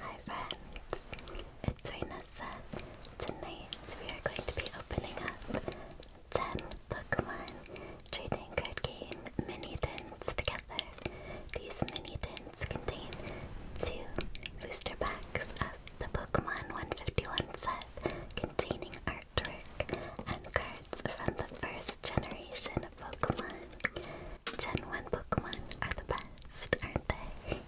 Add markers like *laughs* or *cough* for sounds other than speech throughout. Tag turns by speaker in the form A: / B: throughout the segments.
A: Hi friends, it's Raynessa. Uh, tonight we are going to be opening up 10
B: Pokemon Trading Card Game mini tins together. These mini tins contain two booster packs of the Pokemon 151 set containing artwork and cards from the first generation Pokemon. Gen 1 Pokemon are the best, aren't they?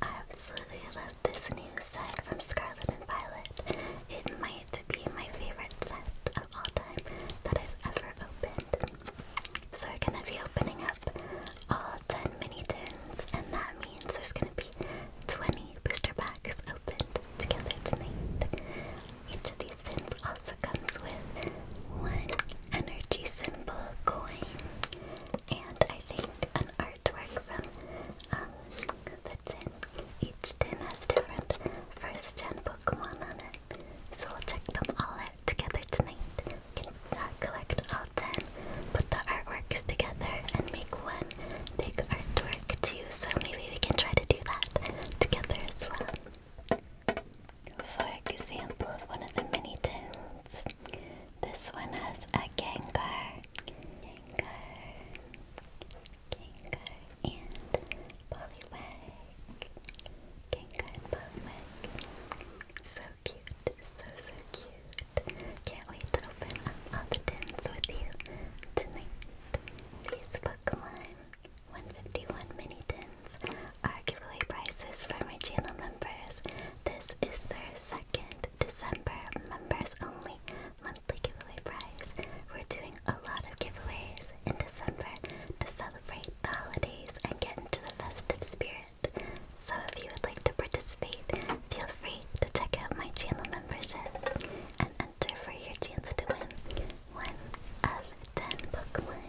B: I absolutely love this new set from Scarlet and Violet. It might be my favorite set of all time that I've ever opened. So we're gonna be opening up all 10 mini tins, and that means there's gonna be 20 booster packs opened together tonight. Each of these pins also comes with one energy symbol coin and I think an artwork from um that's each tin has different first gen Pokemon on it. So we'll check them all out together tonight. We can uh, collect all ten, put the artworks together and make one big artwork too. So maybe we can try to do that together as well. For example, one of the mini tunes. This one has a Gengar, Gengar, Gengar, and Poliwag. Gengar and Poliwag. So cute, so so cute. Can't wait to open up all the tins with you tonight. These Pokemon 151 mini tins are giveaway prizes for my channel members. This is their second December members only monthly giveaway prize. We're doing a lot of giveaways in December to celebrate the holidays and get into the festive spirit. So if you would like to participate, feel free to check out my channel membership and enter for your chance to win one of 10 Pokemon,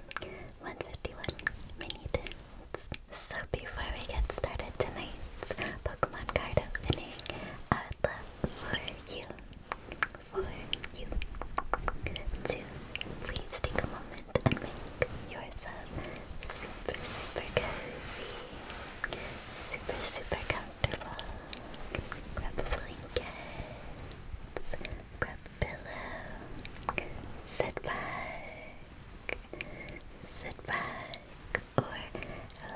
B: 151 mini So before we get started tonight's Pokemon card opening, I would love for you, for you, to please take a moment and make yourself super, super cozy, super, super comfortable. Grab a blanket, grab pillow. Sit back, sit back, or lie down,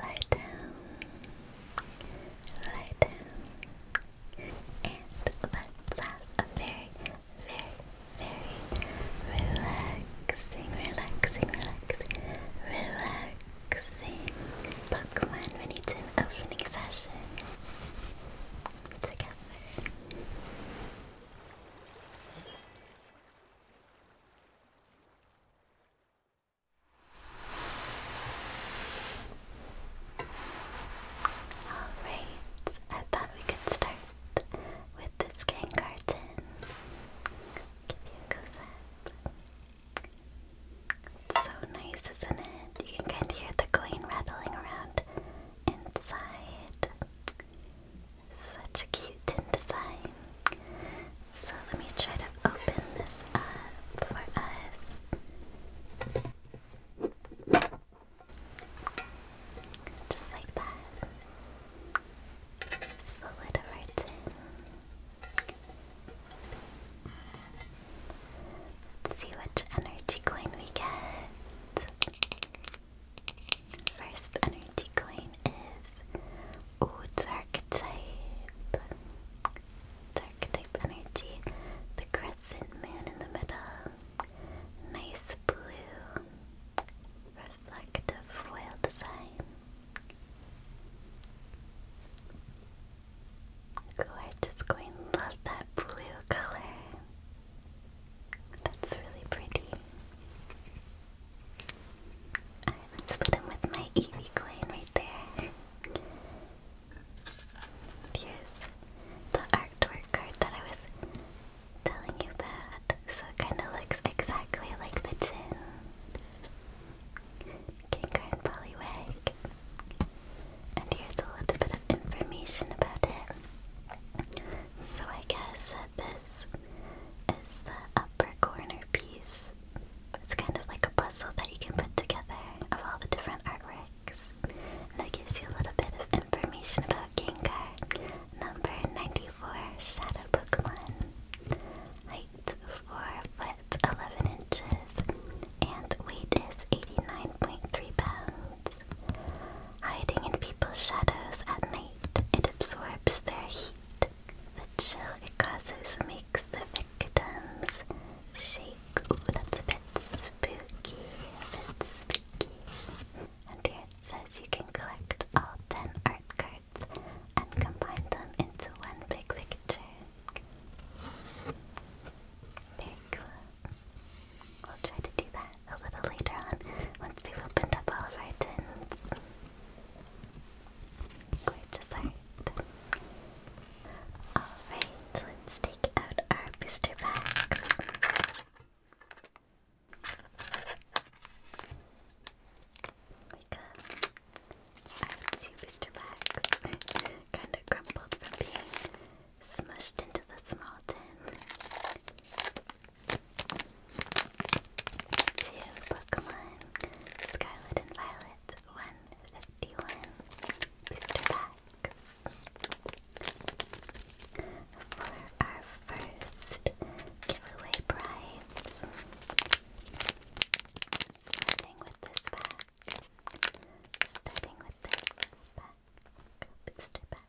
B: lie down. And let's have a very, very, very relaxing, relaxing, relaxing, relaxing Pokemon Mini Tin opening session together. Alright, I thought we could start with the skin carton. you so nice, isn't it? You can kind of hear the coin rattling around inside. Such a cute tin design. So let me try to open this up for us. Just like that. the lid of our Let's see which energy coin we get. First energy coin is oh, dark type. Dark type energy. The crescent moon in the middle. Nice blue. Reflective foil design. Oh, just going love that blue color. That's really pretty. let's put him with my Eevee coin right there. Here's the artwork card that I was telling you about. So it kind of looks exactly like the tin. Kanker and and here's a little bit of information about it. So I guess that this is the upper corner piece. It's kind of like a puzzle that you can put together of all the different artworks. And that gives you a little bit of information about Gengar. Number 94, Shadow Pokemon. Height 4 foot 11 inches. And weight is 89.3 pounds. Hiding in people's shadows at night, it absorbs their heat. The chill it causes makes the victims shake. Ooh, that's a bit spooky. A bit spooky. And here it says you can collect all 10 art cards and combine them into one big picture. Very We'll try to do that a little later on once we've opened up all of our tins. Gorgeous art. Alright, let's take out our booster packs. We got uh, our two booster packs. *laughs* kind of crumpled from being smushed into the small tin. Two Pokemon, Scarlet and Violet, 151 booster packs. For our first giveaway prize, starting with this pack. Starting with this back, booster back.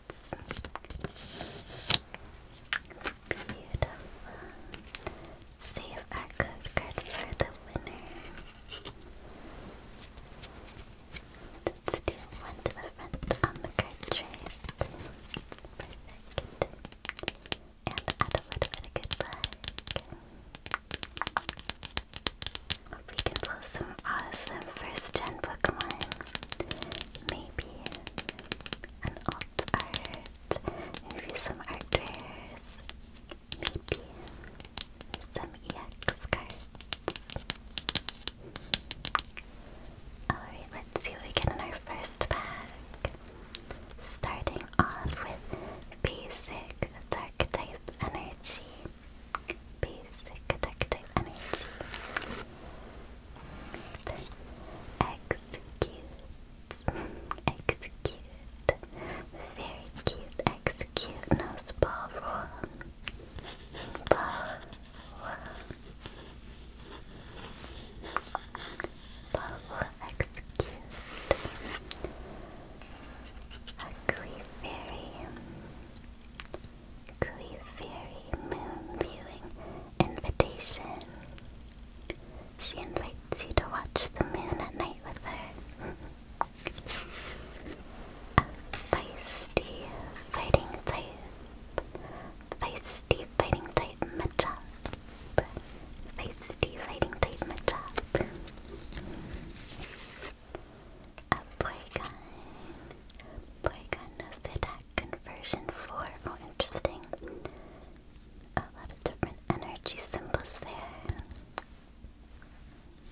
B: cards. Beautiful. Save our code card for the winner. Let's do one to on the card tray. Perfect. And add a little bit of good luck. we can pull some awesome first gen Pokemon maybe an alt art, maybe some art rares, maybe some EX cards. Alright, let's see what we get in our first pack. Starting off with basic dark type energy. Basic dark type energy. Execute. Execute. Very cute. Execute. No spell roll. Ball Execute. Ugly Clefairy Moon Viewing Invitation. She invites you to watch the moon at night with her. *laughs* A feisty fighting type. Feisty fighting type Machop. Feisty fighting type Machop. A Porygon. Porygon knows the attack conversion 4. Oh, interesting. A lot of different energy symbols there.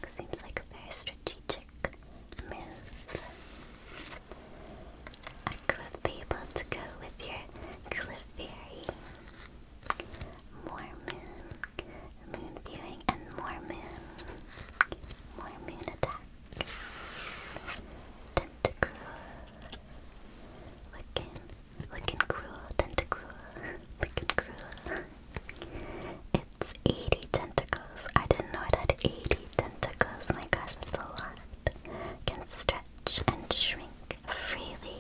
B: Seems like a very strategic move. I could be able to go with your Clefairy. More moon. Moon viewing and more moon. More moon attack. Tentacruel. Looking, looking cruel, tentacruel. Looking cruel. It's 80 tentacles. I didn't know it had 80 tentacles. My gosh, that's a lot. Can stretch and shrink freely.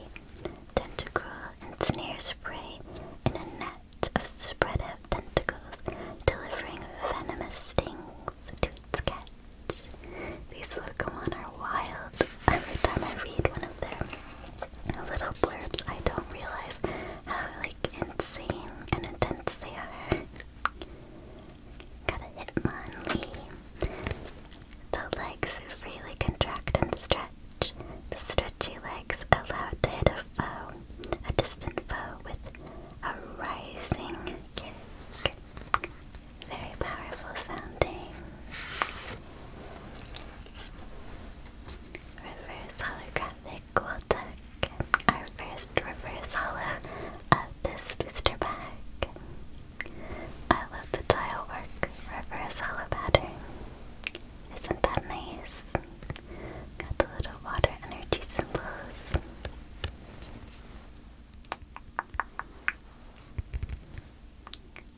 B: Tentacruel and snare spray in a net of spread out tentacles, delivering venomous stings to its sketch. These Pokemon are wild. Every time I read one of their little blurbs, I don't realize how like insane and intense they are. Got a Hitmonlee. The legs freely contract and stretch. The stretchy legs allow to hit a foe, a distant foe, with a rising cake. Very powerful sounding. Reverse holographic Quiltec. Our first reverse holo of this booster bag. I love the tile work. Reverse holo pattern. Isn't that nice? Got the little water energy symbols.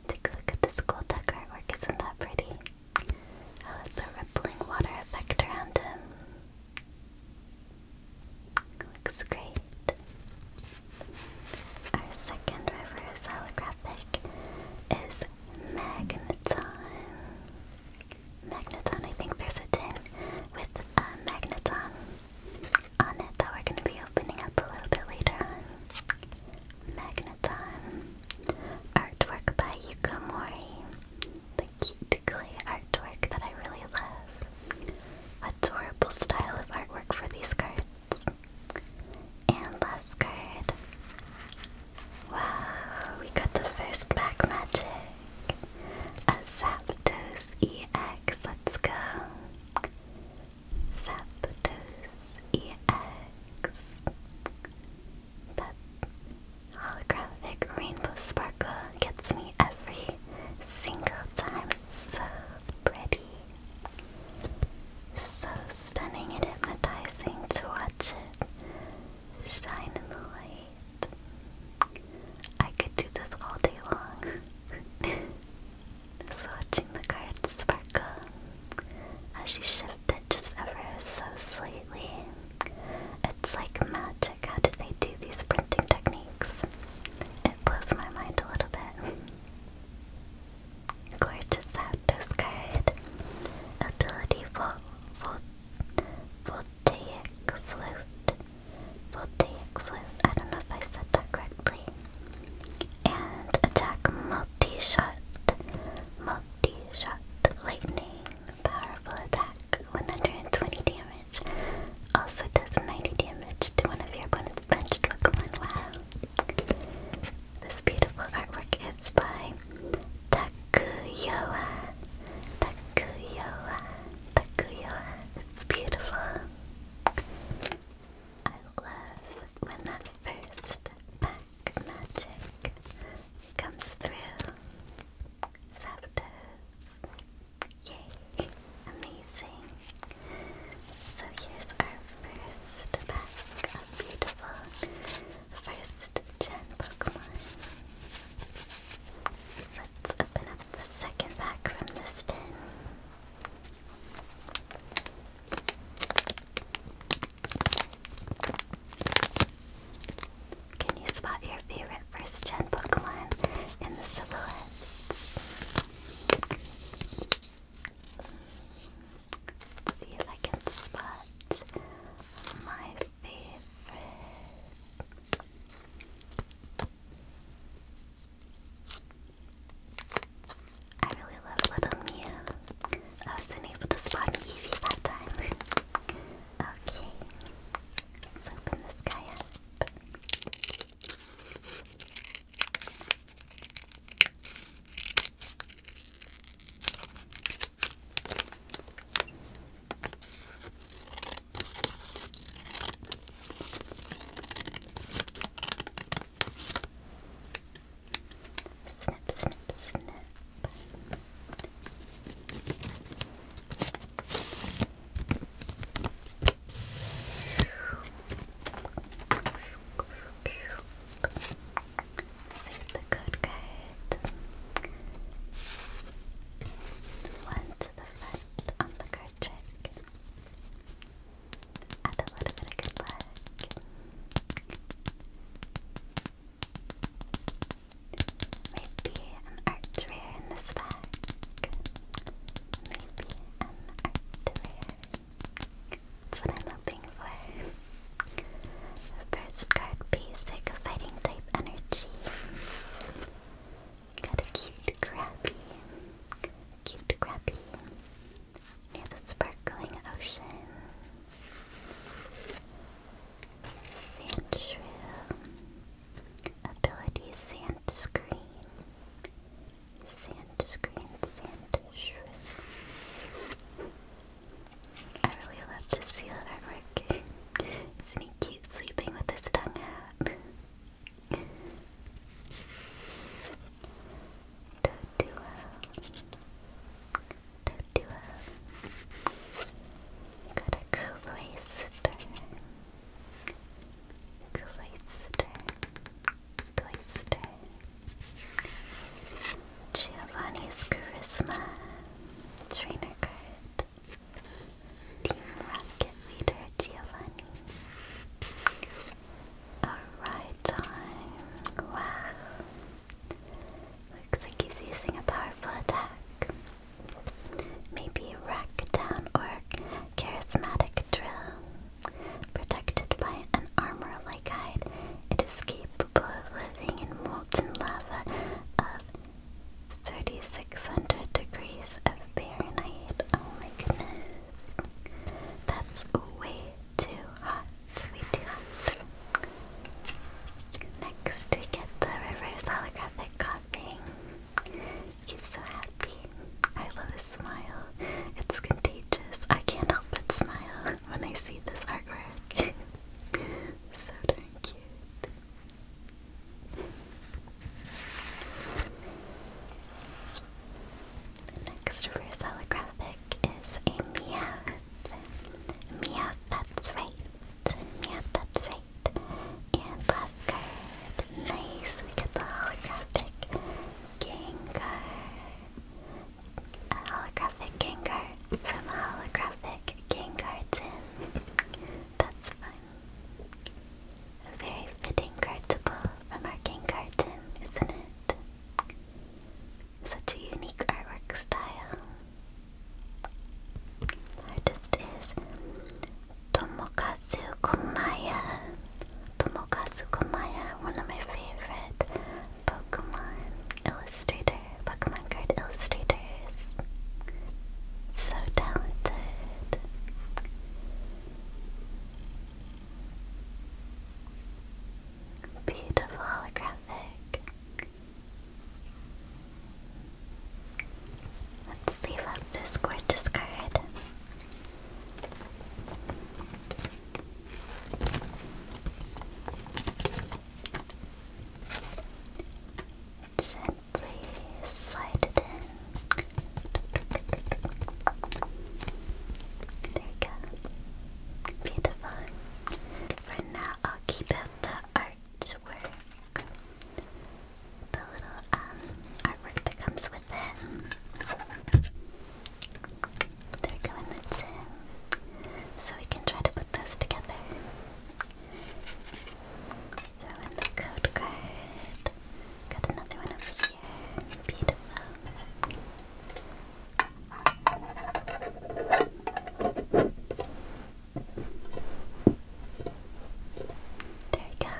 B: Take a look at the school duck artwork, isn't that pretty? Oh, the rippling water effect around him. Looks great. Our second river is holographic is Magneton. Magneton. I think there's a tin with a uh, Magneton on it that we're going to be opening up a little bit later Magneton. Artwork by Yuko The cute clay artwork that I really love. Adorable style of artwork for these cards. And last card. Wow, we got the first pack magic. A EX, let's go. Zapdos EX. That holographic rainbow sparkle gets me every single time. It's so pretty. So stunning and hypnotizing to watch it shine in the light. I could do this all day long. *laughs* just watching the cards sparkle as you shift it just ever so slightly. It's like magic. How do they do these printing techniques? It blows my mind a little bit. Gorgeous Zapdos card. Ability Vol Vol voltaic flute. Voltaic flute, I don't know if I said that correctly. And attack multi-shot. Multi-shot lightning. Powerful attack. 120 damage. Also does 90 damage to one of your opponent's benched Pokemon. Wow. This beautiful artwork is by Takuyoa. Takuyoa. Takuyoa. It's beautiful. I love when that first pack comes through. Zapdos. Yay. Amazing. So here's our first pack of beautiful first gen Pokemon. Let's open up the second pack from this tin. Can you spot your favorite first gen Pokemon in the silhouettes? see if I can spot my favorite. I really love Little Mew. I wasn't able to spot an Eevee that time. *laughs* okay, let's open this guy up. Snip, snip, snip. Save the good card. One to the left on the card a trick. Add a little bit of good luck. Maybe an art in this pack. Maybe an art That's what I'm hoping for. First card basic fighting type energy. We got a cute crabby, cute crappie. Near the sparkling ocean. Sand Ability sand screen. Sand screen, sand I really love this seal artwork. Isn't he cute sleeping with his tongue out? Totua. Totua. Got a cloister. Cloister. Cloister. Giovanni's Charisma. Trainer card. Team Rocket Leader Giovanni. Alright, time. Wow. Looks like he's using a powerful attack. Maybe Rack Down or Charismatic Drill. Protected by an armor like hide, it is capable of living in molten lava of 3,600 degrees of Fahrenheit. Oh my goodness. That's way too hot. Way too hot. Next, we get the reverse holographic coughing. He's so happy. I love his smile. It's contagious. I can't help but smile when I see this artwork. *laughs* so darn cute. The next reverse holographic is a Meowth. Meowth, that's right. Meowth, that's right. And last card. Nice, we get the holographic Gengar. A holographic Gengar from a holographic Gengar tin. That's fun. A very fitting card remarking pull isn't it? Such a unique artwork style. artist is Tomokazu Komaya. Tomokazu Komaya, one of my favorite Pokemon illustrator, Pokemon card illustrators. So talented. Beautiful holographic. Let's save up this gorgeous card. It slide it in. There you go. Beautiful. For now, I'll keep out the artwork. The little um, artwork that comes with it. There we go, So we can try to put those together. Throw in the code card. Got another one over here. Beautiful. There we go.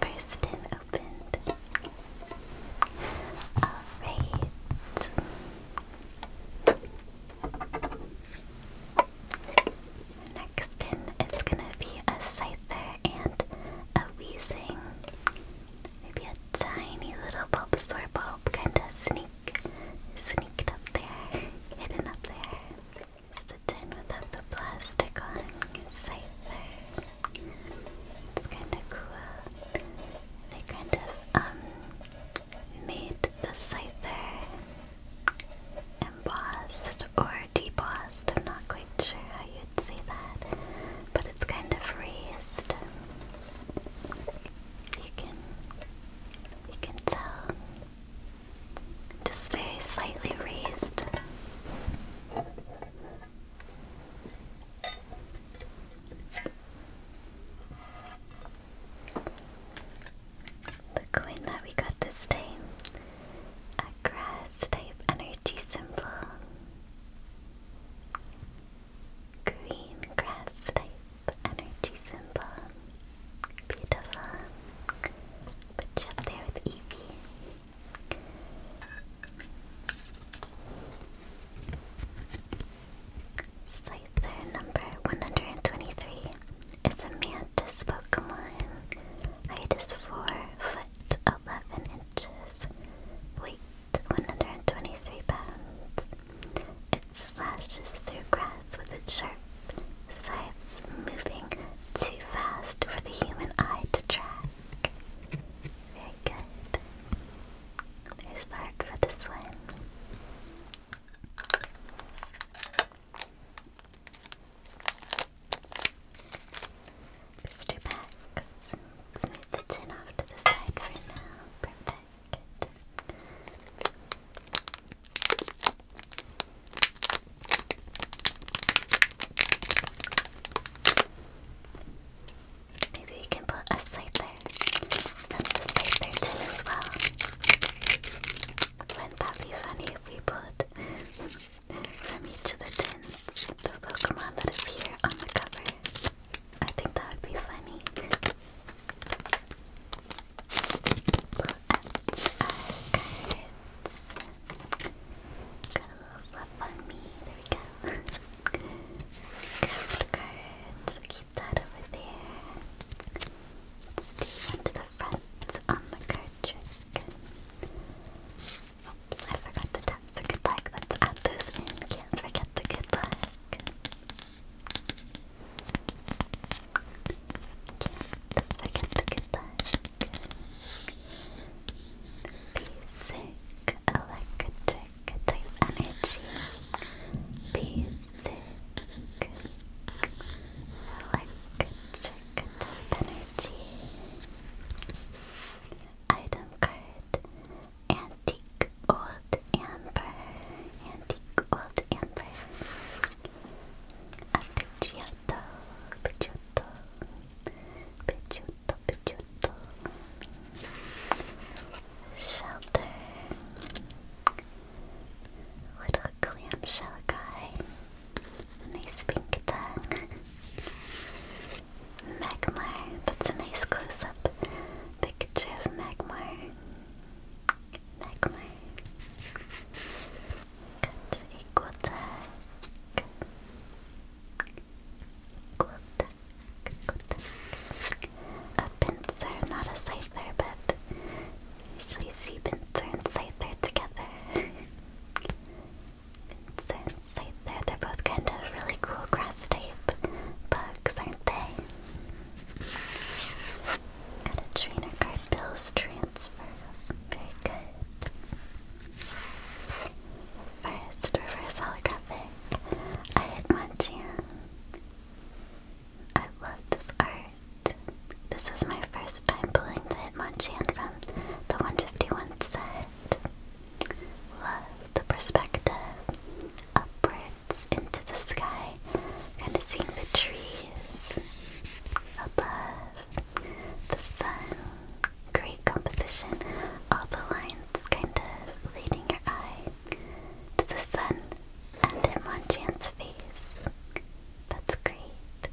B: First and opened. Alright next in is gonna be a Scyther and a Weezing. Maybe a tiny little Bulbasaur bulb kinda sneak sneaked up there, hidden up there. It's the tin without the plastic on. Scyther. It's kinda cool. They kind of um made the Scyther embossed or debossed. I'm not quite sure how you'd say that, but it's kind of raised. You can you can tell. Just very slightly raised. The coin that we got this day grass type energy symbol. Green grass type energy symbol. Beautiful. Put up there with Evie. Scyther number 123 is a Pokemon. Height is 4 foot eleven inches, weight one hundred and twenty-three pounds. It slashes through grass with its sharp sides, moving too fast for the human eye to track. Very good. There's art for this one. Booster packs. Let's move the tin off to the side for now. Perfect. Maybe we can put a scyther from the scyther tin as well. Wouldn't that be funny if we put from each of the tins, the Pokemon that appear on the cover. I think that would be funny. Pull out our Got a little fluff on me. There we go. cards. Keep that over there. Let's the front on the card trick. Oops, I forgot to tap the good luck. Let's add those in. Can't forget the good luck. Can't forget the good luck. Basic electric type energy. Basic electric type energy. Item card. Antique Old Amber. Antique Old Amber. A Pidgeotto. Pidgeotto. Pidgeotto. Pidgeotto. Shelter. Little clamshell guy. Nice pink tongue. Magmar, that's a nice close up picture of Magmar. Magmar. Got Equaltech. Equaltech. Equaltech. A pincer, not a scyther, but usually see pincer and scyther together. Since right there, they're both kind of really cool grass type bugs, aren't they? Got a trainer card, Bill's Transfer. Very good. First, reverse holographic. I had Machamp. I love this art. This is my I'm pulling the Hitmonchan from the 151 set. Love the perspective. Upwards into the sky. Kind of seeing the trees above. The sun. Great composition. All the lines kind of leading your eye to the sun and Hitmonchan's face. That's great.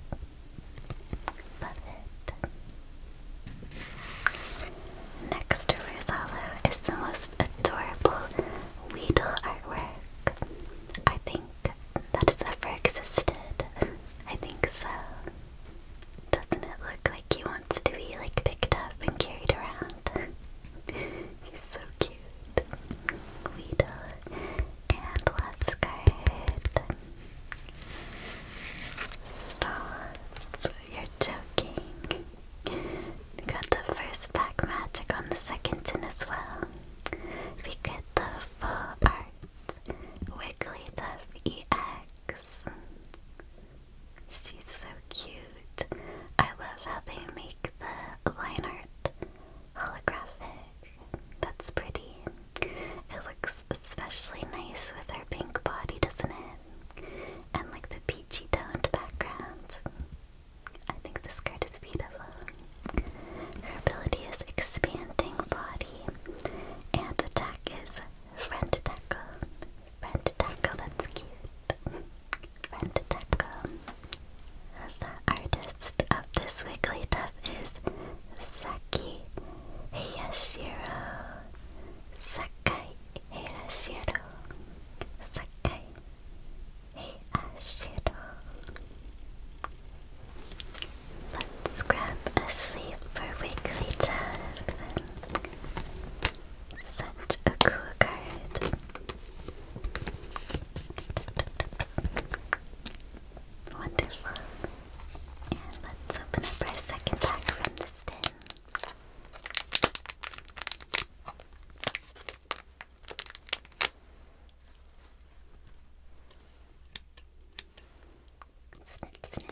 B: Next to Rosalo is the most adorable Weedle artwork I think that has ever existed. I think so. Doesn't it look like he wants to be like picked up and carried around? *laughs* He's so cute. Weedle. And last Stop. You're joking. got the first pack magic on the second tin as well. We get the full art Wigglytuff EX. She's so cute. I love how they make the line art holographic. That's pretty. It looks especially nice with her pink body, doesn't it? And like the peachy toned background. I think this card is beautiful. Her ability is expanding body, and the attack is friend tackle. Friend tackle, that's cute. friend tackle. The artist of this Wigglytuff is Saki Hiyashiro Sakai Hiyashiro Sakai Hiyashiro Let's grab a sleep for weekly time. Such a cool card. Wonderful. And let's open up our second pack from the tin. Snip, snip.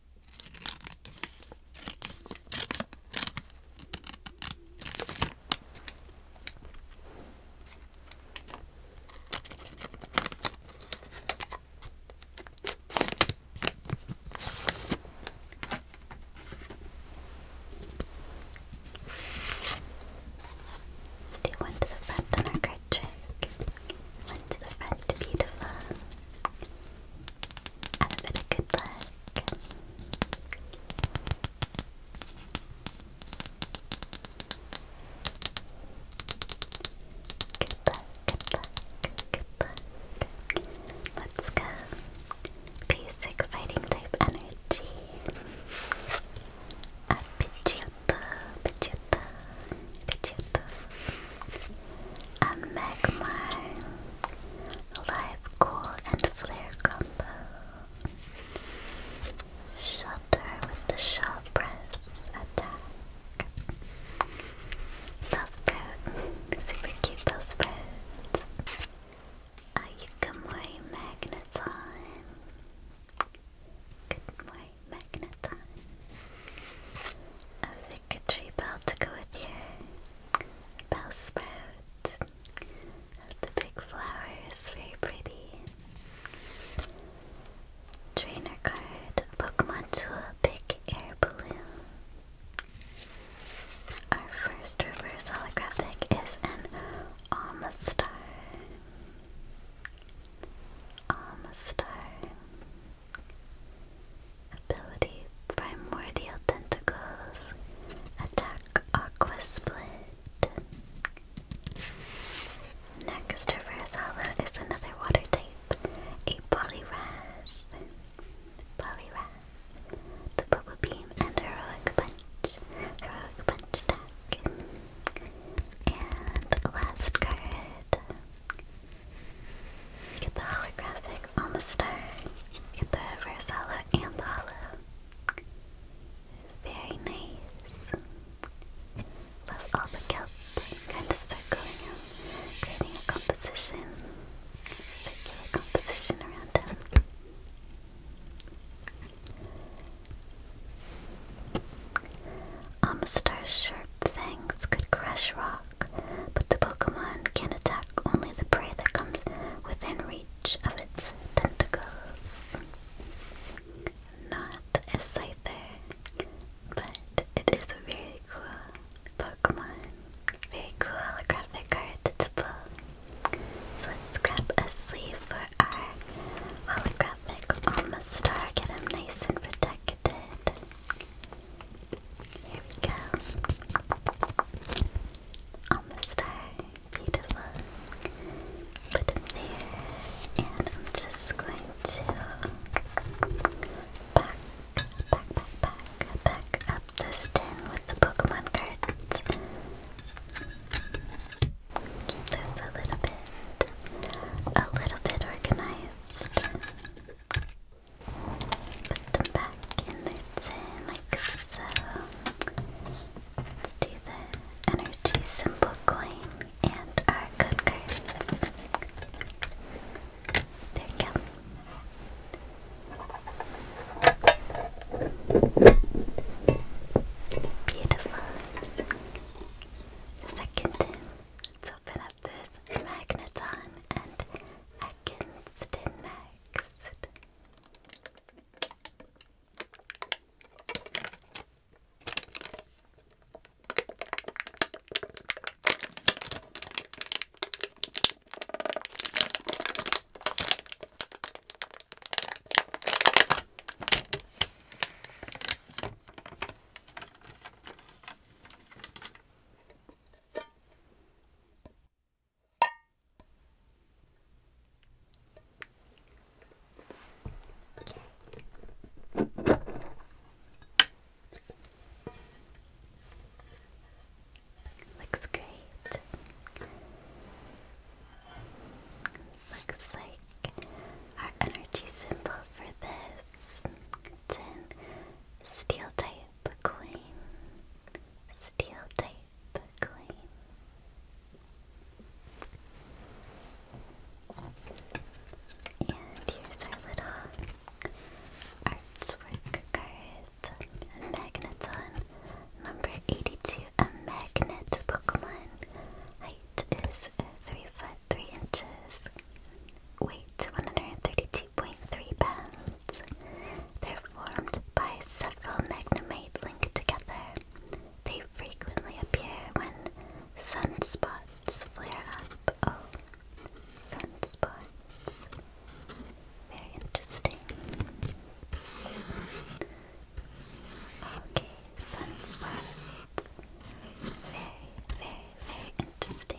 B: Let's to the front on our card trick. One to the front, beautiful and a bit of good luck. Good luck, good luck, good luck. Let's go. Basic fighting type energy. A Pidgeotto, Pidgeotto, and Magmar Live Cool and Flare combo. Shelter with the Shell Press attack. Bellsprout. Super cute Bellsprout. A Yukamori Magneton. Good morning, Magneton. I think a tree bell to go with your bell sprout. The big flower is very pretty. Trainer card, Pokemon Tool, Big Air Balloon. Our first reverse holographic is an Almastar. Almastar. Ability Primordial Tentacles. Attack Aqua Split. Next, Reverse Hollow is another water type, a Polyras. Poliwrath. The Bubble Beam and Heroic Punch. Heroic Punch attack. And the last card, you get the holographic on the star. You get the reverse and the hollow. Very nice. Love all the kelp kind of circling creating a composition, circular composition around him. Amistar's sharp things could crush rock but the Pokemon can attack only the prey that comes within reach of its tentacles. Not a Scyther, but it is a very cool Pokemon. Very cool holographic card to pull. So let's grab a sleeve for our holographic Almastar, get him nice and protected. Here we go. Almost there. Beautiful. Put them there. And I'm just going to back, back, back, back, back up this tin with the Pokemon cards. Keep those a little bit, a little bit organized. Put them back in their tin like so. Let's do the energy symbol coin and our good cards. There we go. Beautiful. Second tin. Let's open up this magneton and seconds to next. Looks great. Looks like our energy symbol for this. It's steel type type coin, steel type coin. And here's our little artswork card, Magneton, number 82, a magnet Pokemon. Height is 3 foot 3 inches weight 132.3 pounds. They're formed by several magnetite linked together. They frequently appear when sunspots flare up. Oh, sunspots. Very interesting. Okay, sunspots. Very, very, very interesting.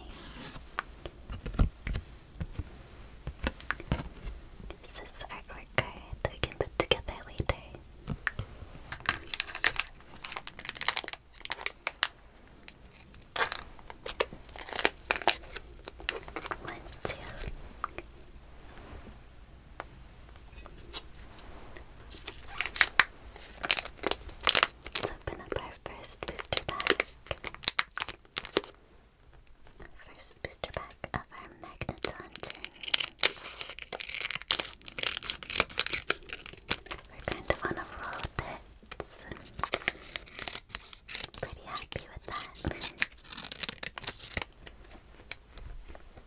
B: This is artwork that we can put together later. One, two. Let's open up our first booster pack. First booster pack of our magnet hunting. We're kind of on a roll Pretty happy with that.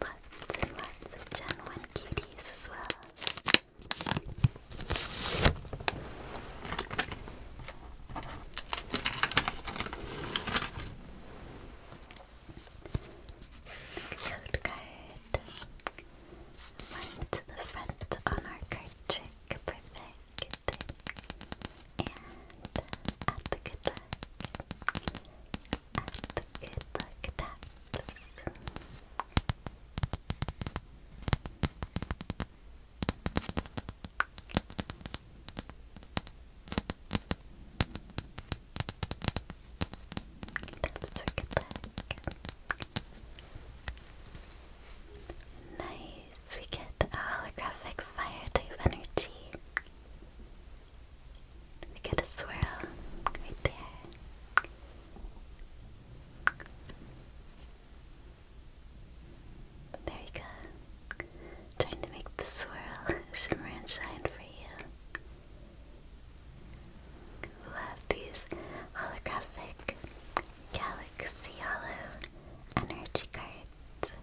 B: Lots and lots of Gen 1 cuties as well. Toad card. One to the front on our card trick. Perfect. And at the good luck. At the good luck taps. Nice, we get a holographic fire type energy. We get a swirl right there. There you go. Trying to make the swirl *laughs* shimmer and shine for you. Love these holographic Galaxy Hollow energy cards.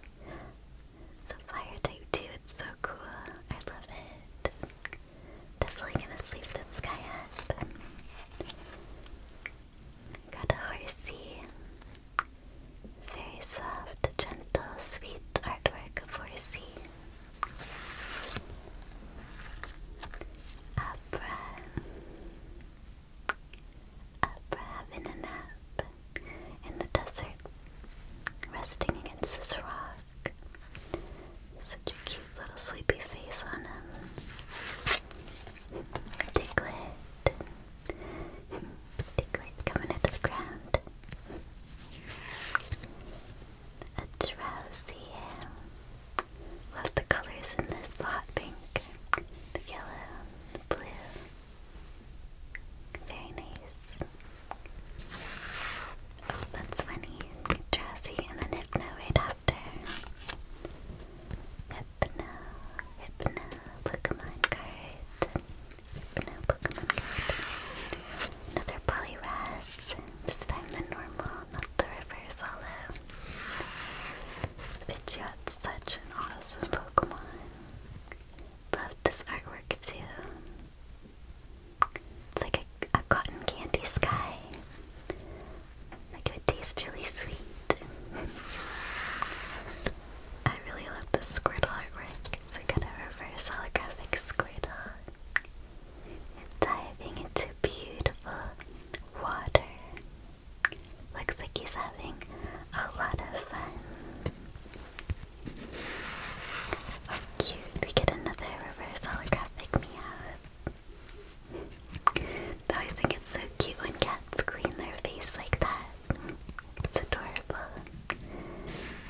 B: So fire type 2, it's so cool. I love it. Definitely gonna sleep that sky up. Got a horsey. Very soft, gentle, sweet artwork of horsey. Opera. Opera having a nap in the desert, resting against this rock. Such a cute little sleepy face on him. Diglett. Diglett coming out of the ground. A drowsy Love the colors in this the pink, the yellow, the blue. Very nice. Oh, that's funny. Drowsy and then hypno right Hypno, Hypno Pokemon card. Hypno Pokemon card. Another Poliwrath. This time the normal, not the reverse hollow. Pidgeot's such an awesome Pokemon. Love this artwork too. It's like a, cotton candy sky would taste really sweet. I really love the Squirtle artwork. It's like kind of reverse holographic Squirtle. Diving into beautiful water. Looks like he's having a lot of fun. Oh, cute. We get another reverse holographic meow. *laughs* I think it's so cute when cat cats clean their face like that. It's adorable.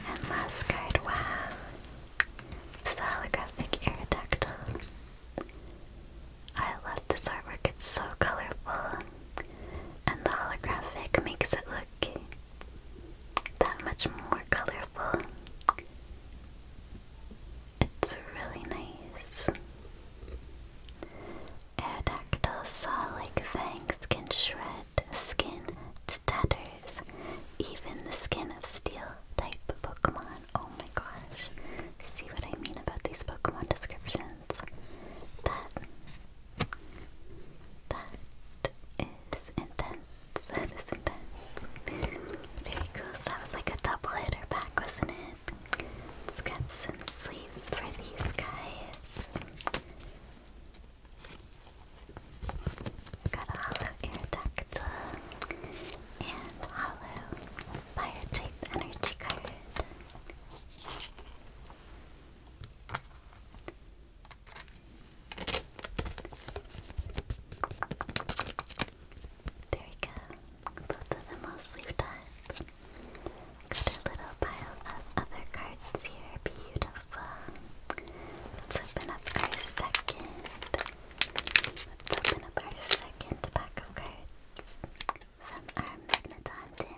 B: And last card, wow. holographic Aerodactyl. I love this artwork, it's so colorful. And the holographic makes it look that much more colorful. It's really nice. Aerodactyl saw-like fangs can shred skin to tatters, even the skin of steel-type Pokemon. Oh my gosh. See what I mean about these Pokemon descriptions? That... That is intense. That is intense. Very cool. So that was like a double hitter pack, wasn't it? Let's grab some sleeves for these guys. have got a hollow Aerodactyl and hollow fire type energy card. There we go. Both of them all sleeved up. Got a little pile of other cards here. Beautiful. Let's open up our second. Let's open up our second pack of cards from our Magnetondon.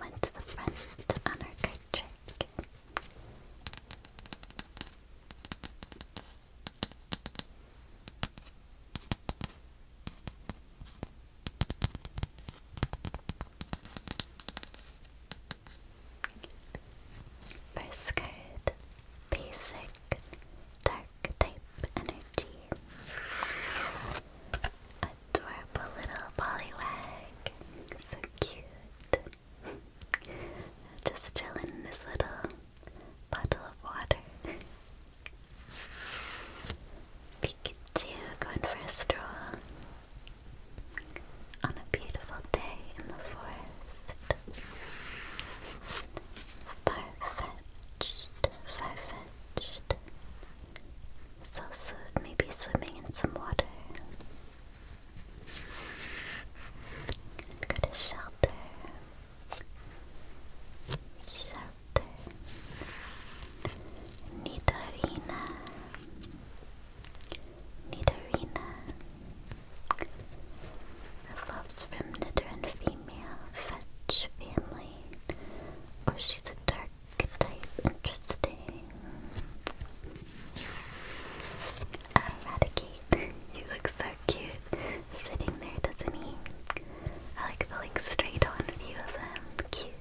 B: went to the front on our card trick. First card, basic dark type energy adorable little Poliwag. So cute. *laughs* Just chilling in this little bottle of water. Pikachu going for a stroll on a beautiful day in the forest. Farfetched, farfetched. It's also maybe swimming in some water. Go to shelter. Shelter. Nidorina. Nidorina. Loves from Nidoran female, fetch family. Oh, she's a dark type. Interesting. Eradicate. he looks so cute sitting there, doesn't he? I like the like straight on view of him. Cute.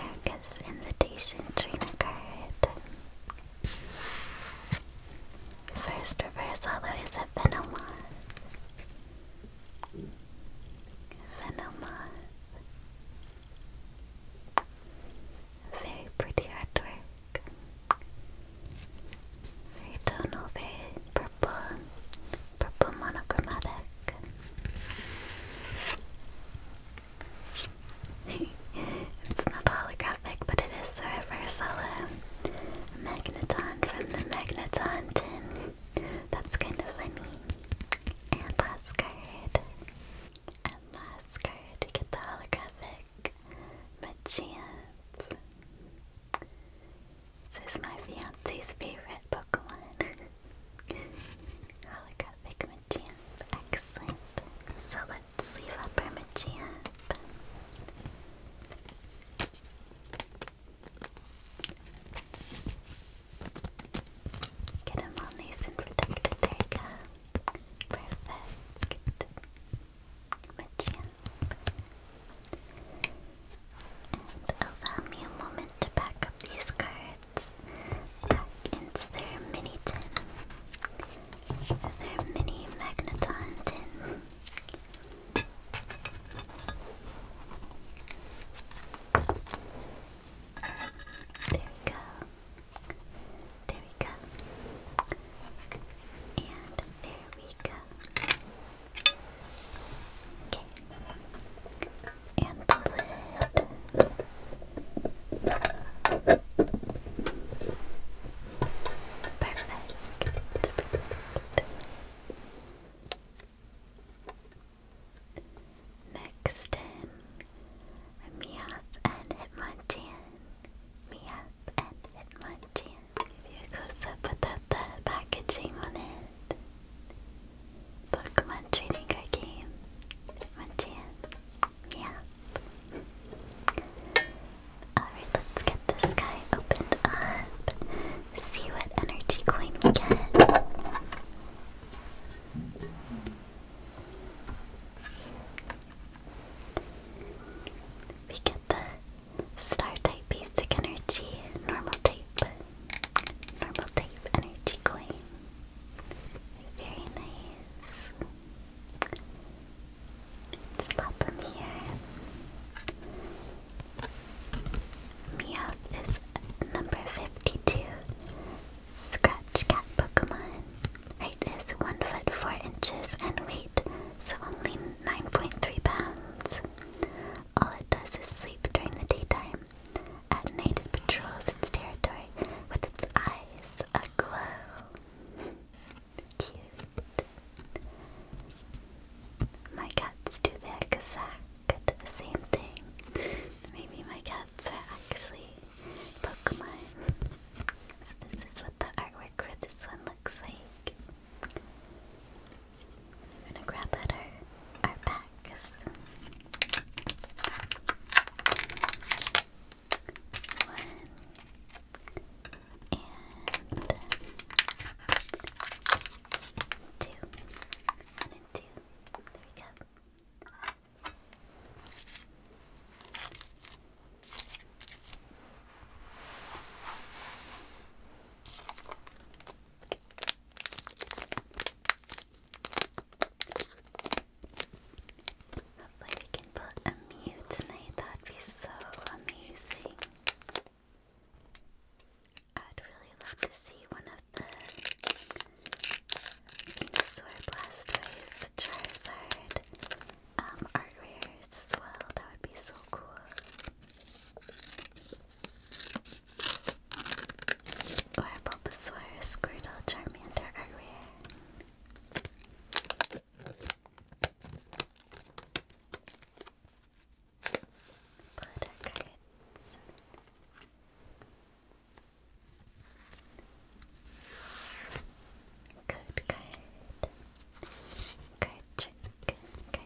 B: Erica's invitation trainer card. First reverse hollow is a Venomoth. Venomoth. Very pretty artwork. Very tonal, purple, purple monochromatic. *laughs* it's not holographic, but it is the Reversala Magneton from the Magneton tin. That's kind of funny. And last card. And last card, get the holographic Machamp. This is my fiance's favorite Pokemon. *laughs* holographic Machamp. Excellent. So let's leave up our Machamp. Get them all nice and protected. There you go. Perfect. Machamp. allow me a moment to pack up these cards back into their mini tin. Their mini magneton tin. There we go. There we go. And there we go. Okay. And the lid. Perfect. Next in Meowth and Hitmonchan. Meowth and Hitmonchan. Maybe a close-up without the packaging on it. Pokemon trading card game. Hitmonchan. Meowth. Alright, let's get this guy opened up. See what energy coin we get. We get the star type basic energy, normal type, normal type energy coin. Very nice. Let's pop here. Meowth is number 52. Scratch Cat Pokemon. Height is 1 foot 4 inches and weight so only 9.3 pounds. All it does is sleep during the daytime. At night it patrols its territory with its eyes aglow. *laughs* Cute. My cats do the exact same thing. Maybe my cats are actually Pokemon. So this is what the artwork for this one looks like. gonna grab our, our packs. One. And two. One and two. There we go. Hopefully we can put a Mew tonight, that'd be so amazing. I'd really love to see one of the Sword Blastoise, Charizard, um, art rares as well. That would be so cool. Or Bulbasaur, Squirtle, Charmander, art rare. Put Card card. Card trick. Card trick. That's for good luck.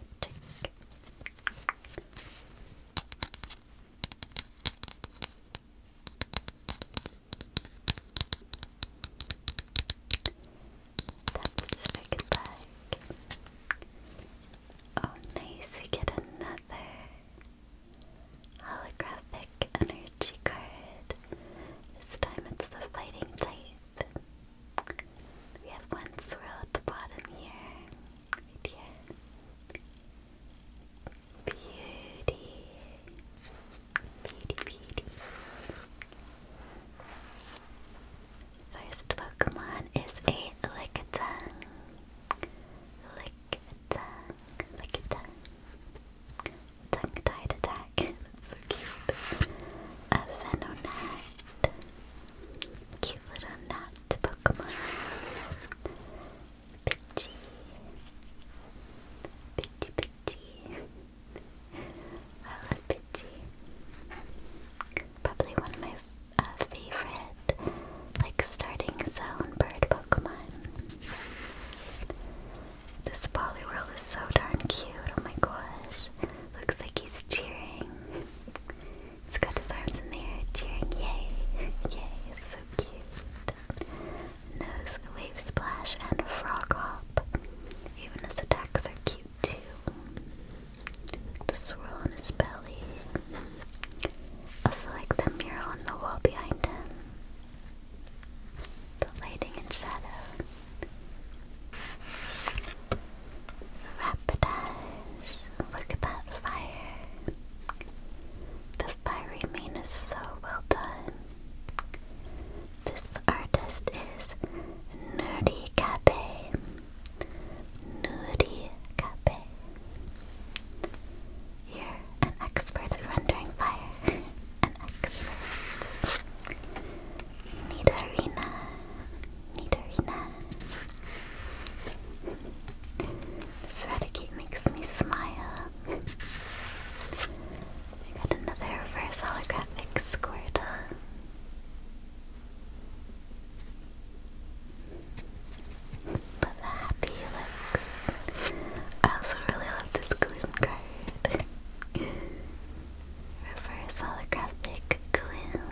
B: Oh nice, we get another Holographic energy card. This time it's the fighting type. We have one swirl at the bottom here. Beauty. Beauty, beauty. First Pokemon is a Lickitung. Lick a a tongue. Tongue-tied attack. That's so cute. A Venonat. Cute little nut Pokemon. Pidgey. Pidgey, Pidgey. I love Pidgey. Probably one of my uh, favorite like starting a bird Pokemon. This World is so darn cute, oh my gosh. Looks like he's cheering. He's got his arms in the air, cheering, yay, yay, it's so cute. Nose, Wave Splash, and Frog Hop. Even his attacks are cute too. The swirl on his belly. Also like the mirror on the wall behind him the lighting and shadow. Rapidash, look at that fire. The fiery mane is so well done. This artist is Nerdy Cafe. Nerdy Cafe. You're an expert at rendering fire. an expert. Nidorina. Nidorina. This Raticate makes me smile. got another reverse holographic Squirtle love how happy looks. I also really love this gloom card. *laughs* Reverse holographic gloom.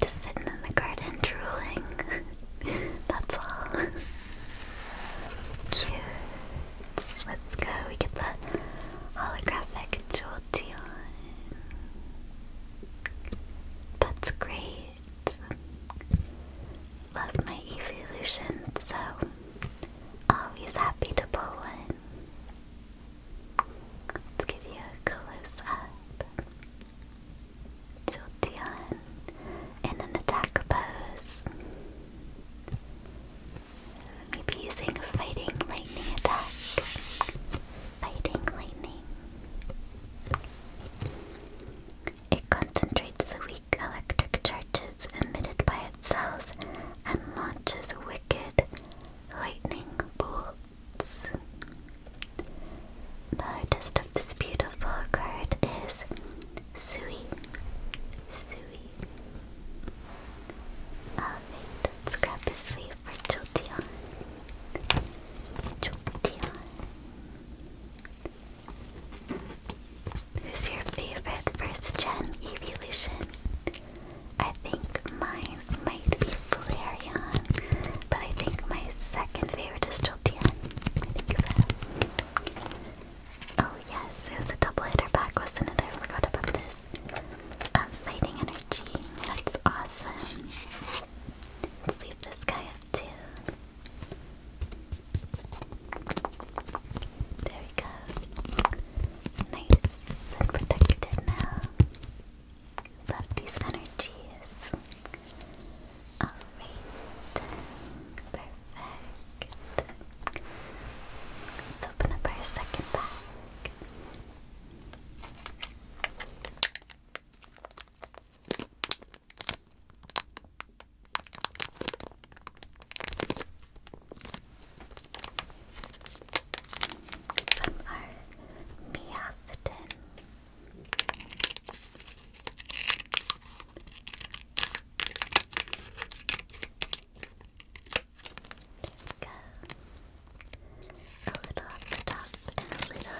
B: Just sitting in the garden drooling. *laughs* That's all. *laughs* Cute. Let's go. We get the holographic Jolteon. That's great. Love my evolution, so always happy to pull one. Let's give you a close up. Jolteon in an attack pose. Maybe using a fighting lightning attack. Fighting lightning. It concentrates the weak electric charges emitted by its cells and launches wicked lightning bolts. The artist of this beautiful card is Sui. Sui. Alright, let's grab his sleeve for Jolteon. Jolteon. Who's your favorite first gen evolution? I think mine might be Flareon, but I think my second favorite is Jolteon. I Oh yes, it was a double hitter back, wasn't it? I forgot about this. Um, energy. That's awesome. let guy too. There we go. Nice and protected now. Love these energies. Alright. Perfect. Let's open up our second bag. From our Meowthedon. There we go. A little at and a little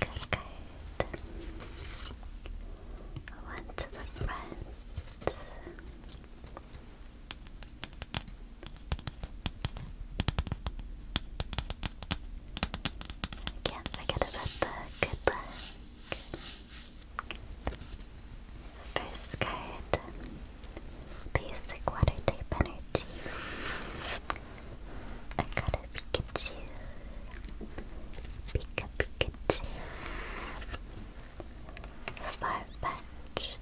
B: Good, good. One to the front. can't forget about the good luck. First card, basic water type energy. I got a Pikachu. Pika Pikachu. Far-fetched.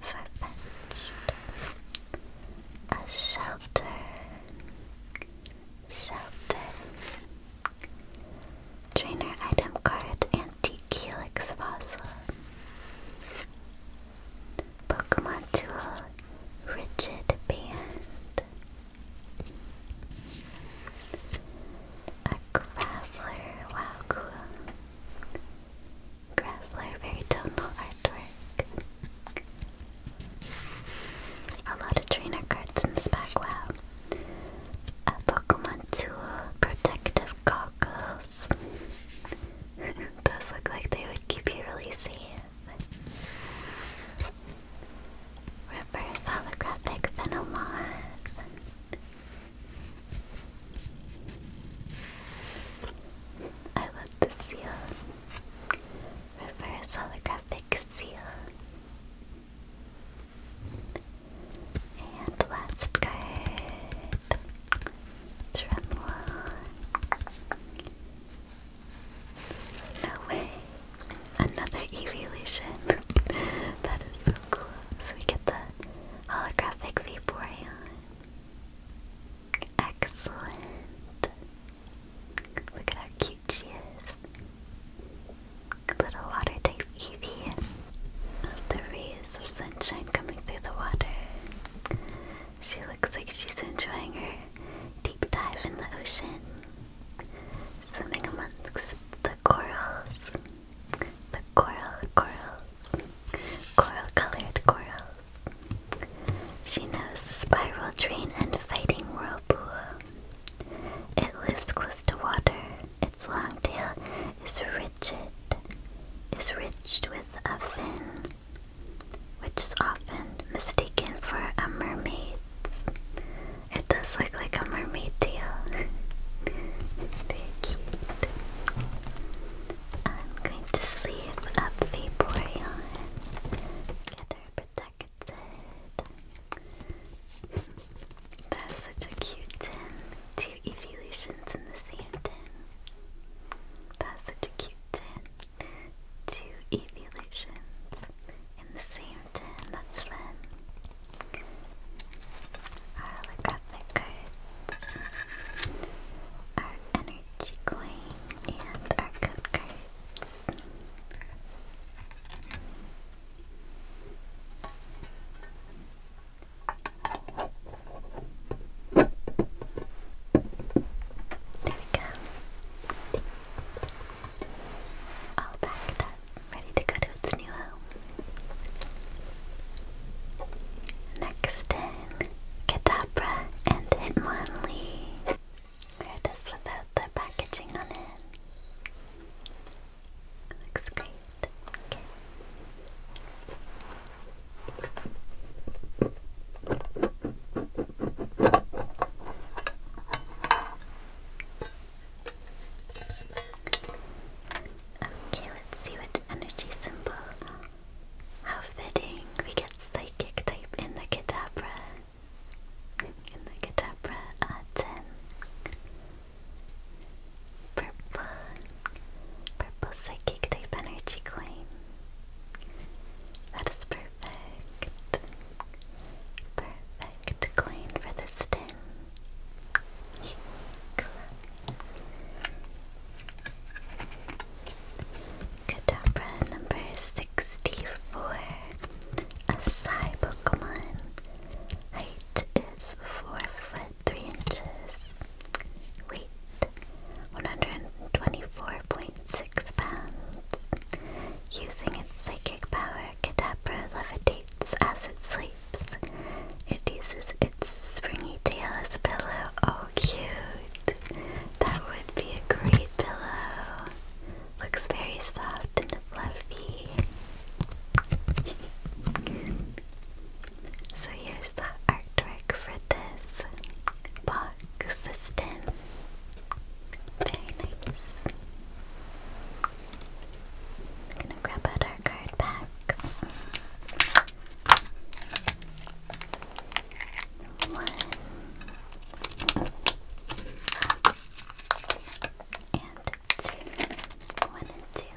B: Far-fetched. A shelter. Shelter. Trainer item card antique helix fossil. Pokemon Tool Rigid Band a Graveler, wow, cool. Graveler, very tonal artwork. A lot of trainer cards in this pack, wow. A Pokemon Tool, Protective Goggles. *laughs* Those look like they would keep you really safe. Reverse holographic phenomorph. I love the seal. Reverse holographic seal. And last card. Tremolo. No way. Another evolution. *laughs* that is so cool. So we get the holographic Vaporeon. Excellent. Look at how cute Little water type Eevee. The rays of sunshine coming through the water. She looks like she's enjoying her dive in the ocean, swimming amongst the corals, the coral corals, coral-colored corals. She knows spiral train and fighting whirlpool. It lives close to water. Its long tail is rigid, is ridged with a fin which is often mistaken for a mermaid. It does look like a mermaid tail. *laughs* Very cute. I'm going to sleeve up Vaporeon. Get her protected. That's such a cute tin. Two evolutions in the same tin. That's such a cute tin. Two evolutions in the same ten. that's fun. Our holographic cards, our energy coin, and our code cards. There we go all packed up, ready to go to its new home. Next in, Katapra and Hitmonlee. We're just without the packaging on it. Looks great. Okay. Okay, let's see what energy symbol. How fitting we get psychic type in the Kadabra. In the Kadabra uh, 10. Purple. Purple psychic type energy coin. That is perfect. Perfect coin for the stem. Kadabra number 64. A Psy Pokemon. Height is 4 foot 3 inches. Weight 124.6 six Using its psychic power, Kadabra levitates as it sleeps. It uses its springy tail as a pillow. Oh, cute! That would be a great pillow. Looks very soft and fluffy. so here's the artwork for this box, this very nice. We're gonna grab out our card packs. One. And two. One and two.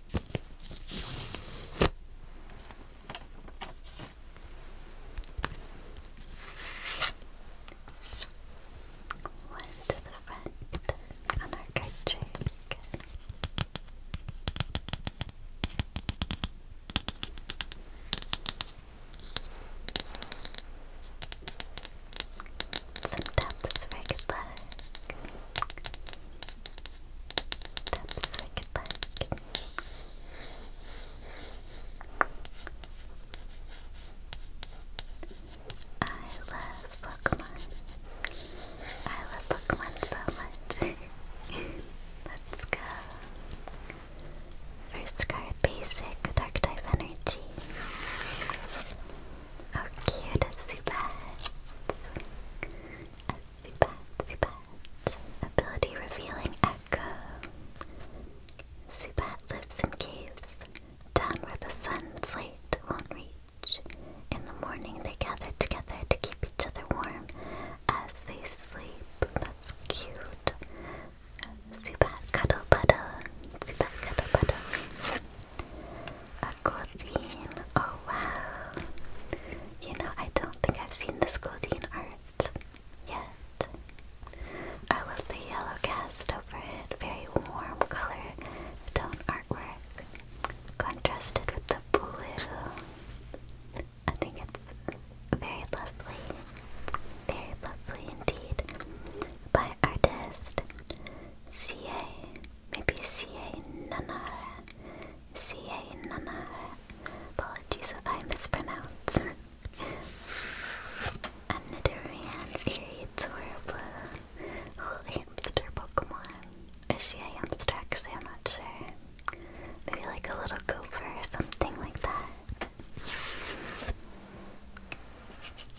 B: One to the front on our card trick. Some taps for good Oops, I love Pokemon. I love Pokemon so much. *laughs* Let's go. First card basic, Dark Type Energy. How oh, cute is Zubat? Zubat, Zubat. Ability revealing Echo. Zubat lives in caves, down where the sun's light won't reach. In the morning they gather together to keep each other warm as they sleep. That's cute. Zubat cuddle buddle. Zubat cuddle buddle. A cuisine. Oh wow. You know, I don't think I've seen this Goldeen art yet. I love the yellow cast over it, very warm color tone artwork, contrasted with the blue. I think it's very lovely, very lovely indeed. By artist C.A. Maybe C.A. Nanahara. C.A. Nanahara. Apologies if I mispronounce. *laughs* Anidorian, very adorable. Little hamster Pokemon. Is she a hamster? Actually, I'm not sure. Maybe like a little gopher or something like that.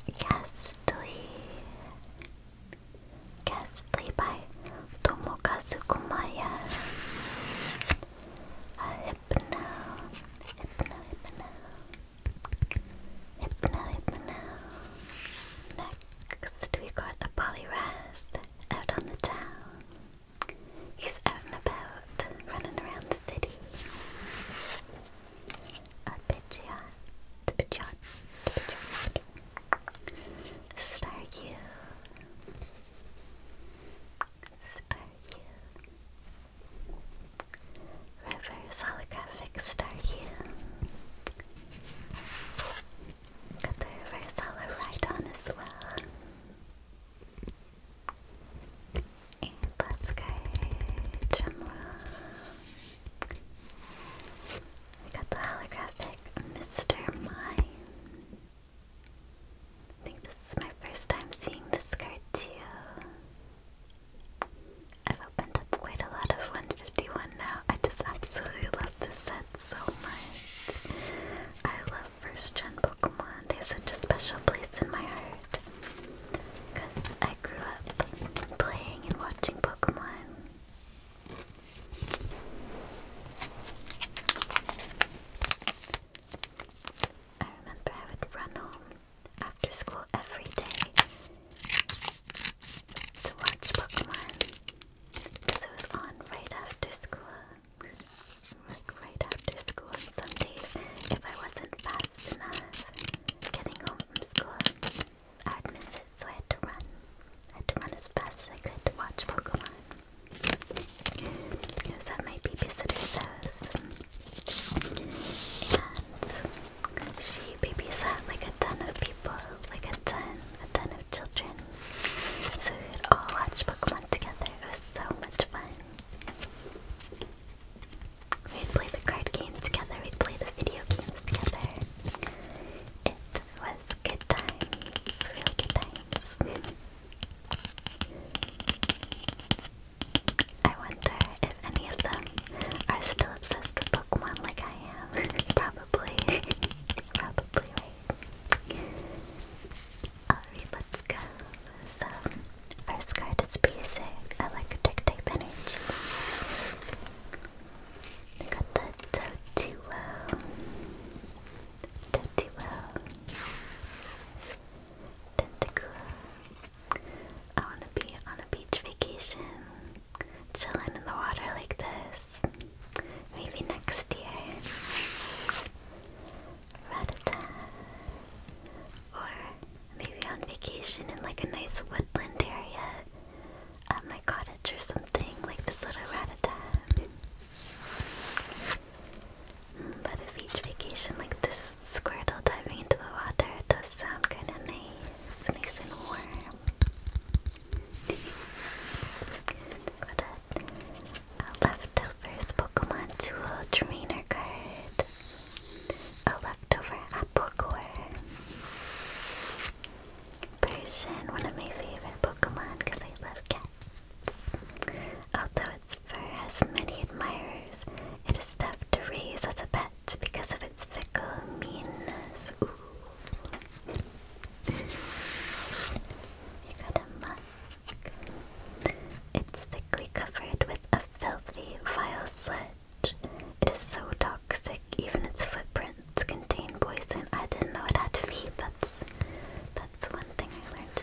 B: Yes, Gastly. Castly by uh, Next, we got a Polyrath out on the town. He's out and about, running around the city. A Pidgeot, Pidgeot, Pidgeot, Staryu. Staryu. Reverse holographic Staryu. Got the reverse holo right on as well. And let's go, Jamra. I got the holographic Mr. Mime. I think this is my first time seeing this card too. I've opened up quite a lot of 151 now. I just absolutely love this set so much. I love first gen Pokemon. They have such a special place in my heart. Because I grew up playing and watching Pokemon. I remember I would run home after school every day to watch Pokemon it was on right after school. Like right after school, and some days, if I wasn't fast enough getting home from school, I'd miss it, so I had to run. I had to run as fast as I could to watch Pokemon. Who's that my babysitter says. And she babysat like a ton of people, like a ton, a ton of children. So we would all watch Pokemon together. It was so much fun. We'd play the card game together, we'd play the video games together was good times, real good times. I wonder if any of them are still obsessed with Pokemon like I am. *laughs* Probably. *laughs* Probably Alright, let's go. So, first card is basic electric type energy. got the Totoo. Tentacruel. Tentacruel. I want to be on a beach vacation, chilling in the water like this. Maybe next year. Ratata. Or maybe on vacation in like a nice woodland area at my cottage or something, like this little ratata. But if each vacation like this, Squirtle diving into the water does sound kind of nice, nice and warm. Got a, a leftovers Pokemon Duel Trainer card, a leftover apple core. Persian, one of my favorite Pokemon because I love cats. Although its fur has many admirers, it is tough to raise as a pet because of its fickle meanness. Ooh. you got a muck. It's thickly covered with a filthy, vile sludge. It is so toxic, even its footprint it's contain poison. I didn't know it had feet. That's that's one thing I learned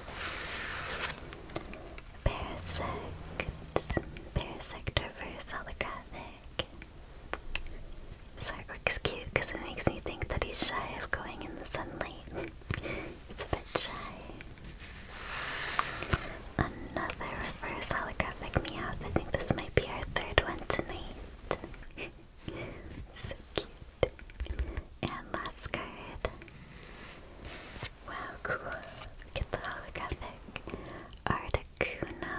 B: Parasect. Parasect reverse holographic. This artwork's cute because it makes me think that he's shy of going in the sunlight. it's *laughs* a bit shy. Another reverse holographic meow. I think this might be our third one tonight. *laughs* so cute. And last card. Wow, cool. Look the holographic Articuno.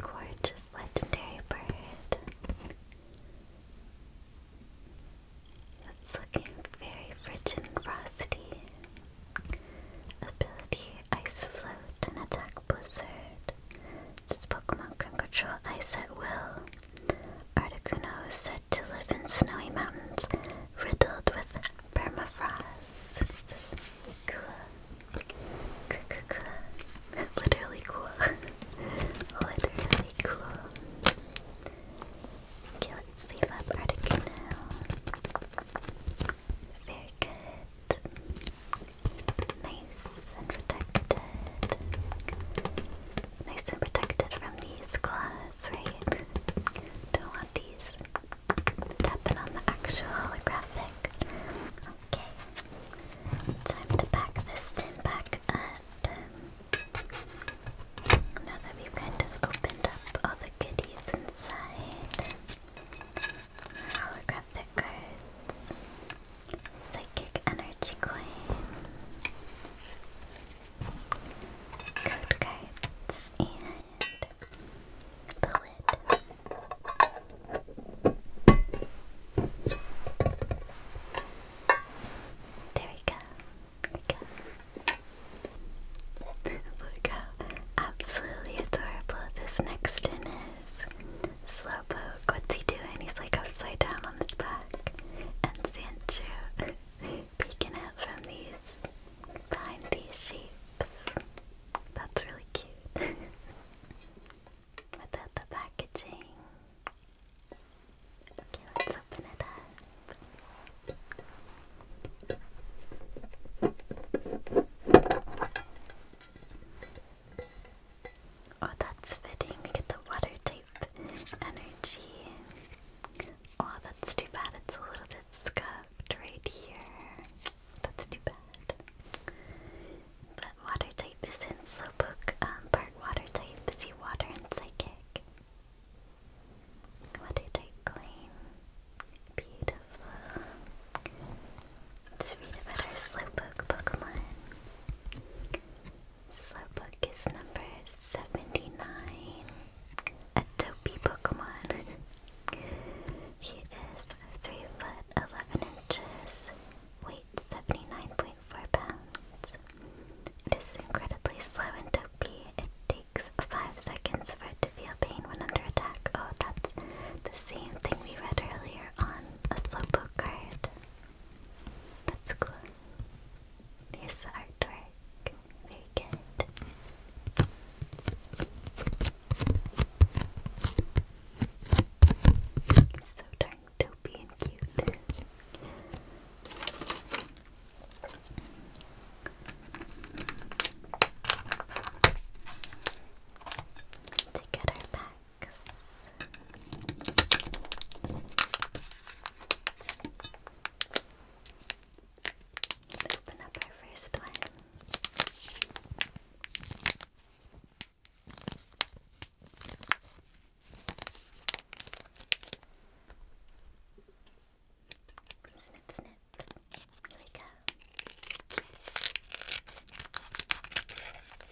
B: Gorgeous legendary bird. It's looking very rich and frosty. Ability Ice Float and Attack Blizzard. Since Pokemon can control ice at will, Articuno is said to live in snowy mountains riddled with permafrost. Cool. *laughs* Literally cool. *laughs* Literally cool. Okay, let's leave up Articuno. Very good. Nice and protected. Nice and protected from these claws, right? Don't want these tapping on the actual holographic. Okay. Time to pack this tin back up. Now that we've kind of opened up all the goodies inside grab Psychic energy coin. Code cards and the lid. There we go. There we go. *laughs* Look how absolutely adorable this next tin is. Slowpoke, what's he doing? He's like upside down on his back. And Sancho *laughs* peeking out from these, behind these shapes. That's really cute. *laughs* Without the packaging. Okay, let's open it up. Oh, that's fitting. We get the water type energy. Oh, that's too bad. It's a little bit scuffed right here. That's too bad. But water type is in Slowpoke. Um, part water type is water and psychic. Water type coin. Beautiful. Let's read about our Slowpoke Pokemon. Slowpoke is number 79, a dopey Pokemon. he is 3 foot 11 inches, weight 79.4 pounds. It is incredibly slow and dopey. It takes 5 seconds for it to feel pain when under attack. Oh, that's the same thing we read earlier on a Slowpoke card. That's cool. Here's the artwork. Very good. so darn dopey and cute. To back box. let open up our first one. Snip, snip. Here we go.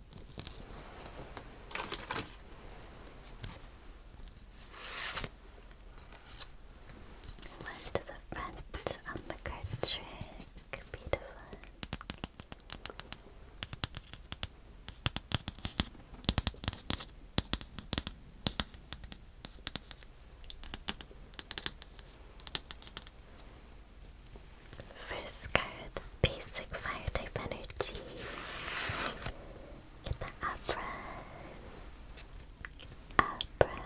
B: One to the front on the card Beautiful. First card basic fire type energy. Get the Abra. Abra.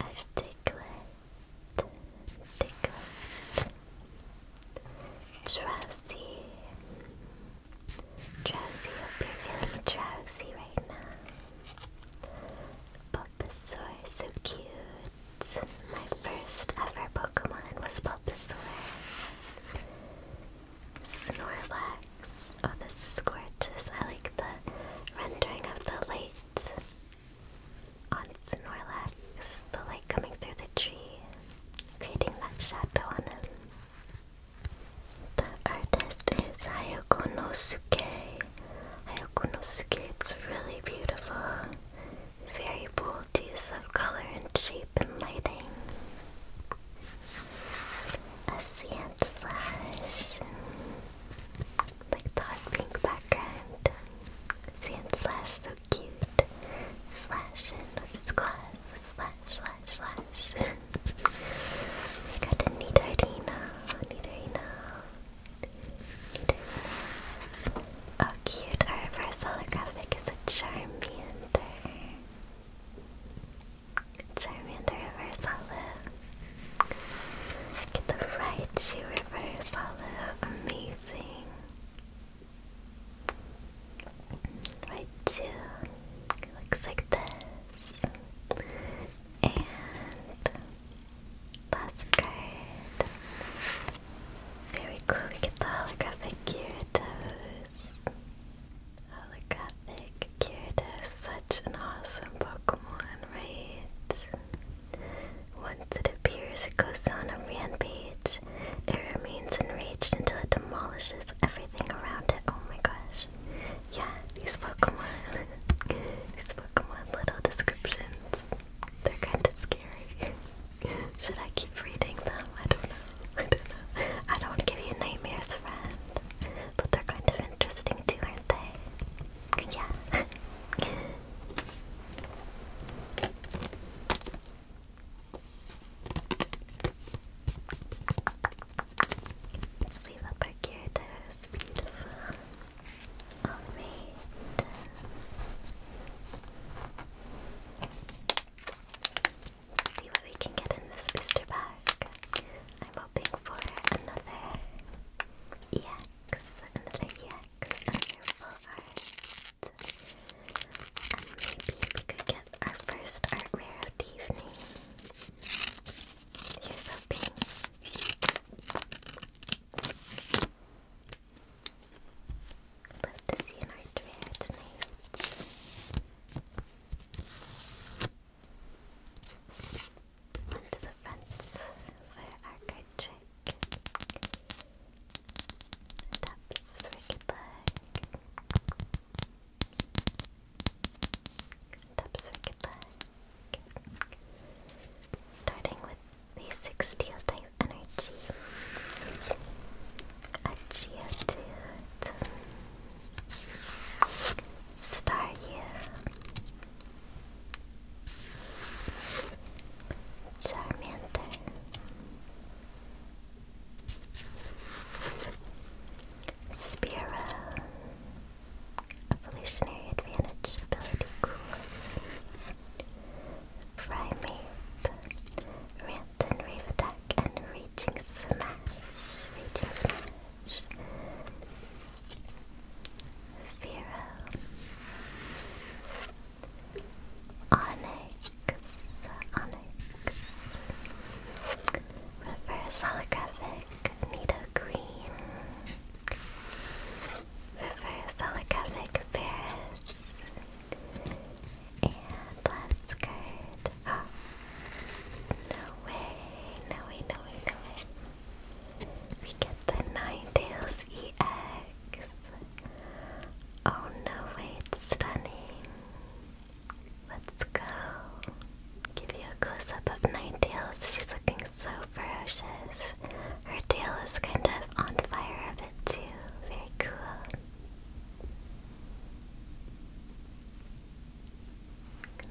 B: Articulate. Articulate. Drowsy. Drowsy, hope you're feeling drowsy right now. Bulbasaur, so cute my first ever Pokemon was Bulbasaur. Snorlax. Oh, this is gorgeous. I like the rendering of the light on Snorlax. The light coming through the tree, creating that shadow on him. The artist is Hayako Nosuke. Hayako Nosuke, it's really beautiful. Very bold use of color and shape and lighting. A sand slash, like the hot pink background. Sand slash, so cute. Slashing with its claws. Slash, slash, slash. *laughs* got a Nidorino, Nidorino. Oh, cute. Our reverse holographic is a Charmander. Charmander reverse holo. Get the Raichu reverse holo. Amazing. Raichu. Looks like this. And last card. Very cool, we get the holographic Gyarados. Holographic Gyarados, such an awesome Pokemon, right? Once it appears, it goes on a rampage. It remains enraged until it demolishes everything around it. Oh my gosh. Yeah, these Pokemon. *laughs* these Pokemon little descriptions. They're kind of scary. Should I keep reading them? I don't know. I don't know. I don't want to give you nightmares, friend. But they're kind of interesting too, aren't they? Yeah. *laughs* Sleeve up our Gyarados. Beautiful. Alright. See what we can get in this booster pack. I'm hoping for another EX, another EX, another full art. And maybe we could get our first art rare of the evening. Here's Love to see an art rare tonight. On to the front for our card trick. Tops for good luck. Tops Starting with basic steel type energy. A Geodude. Staryu. Charmander. Spearow. Evolutionary advantage ability cool. Primate, Ranton, Rave Attack, and Raging Smash. Raging Smash. Vero. Onyx. Onyx. Reverse holographic. Nido Green. Reverse holographic Paris. And that's good. Oh. No way, no way, no way, no way. We get the Ninetales EX. Oh no way, stunning. Let's go. Give you a close up of Ninetales. She's looking so ferocious. Her tail is kind of on fire that Very cool.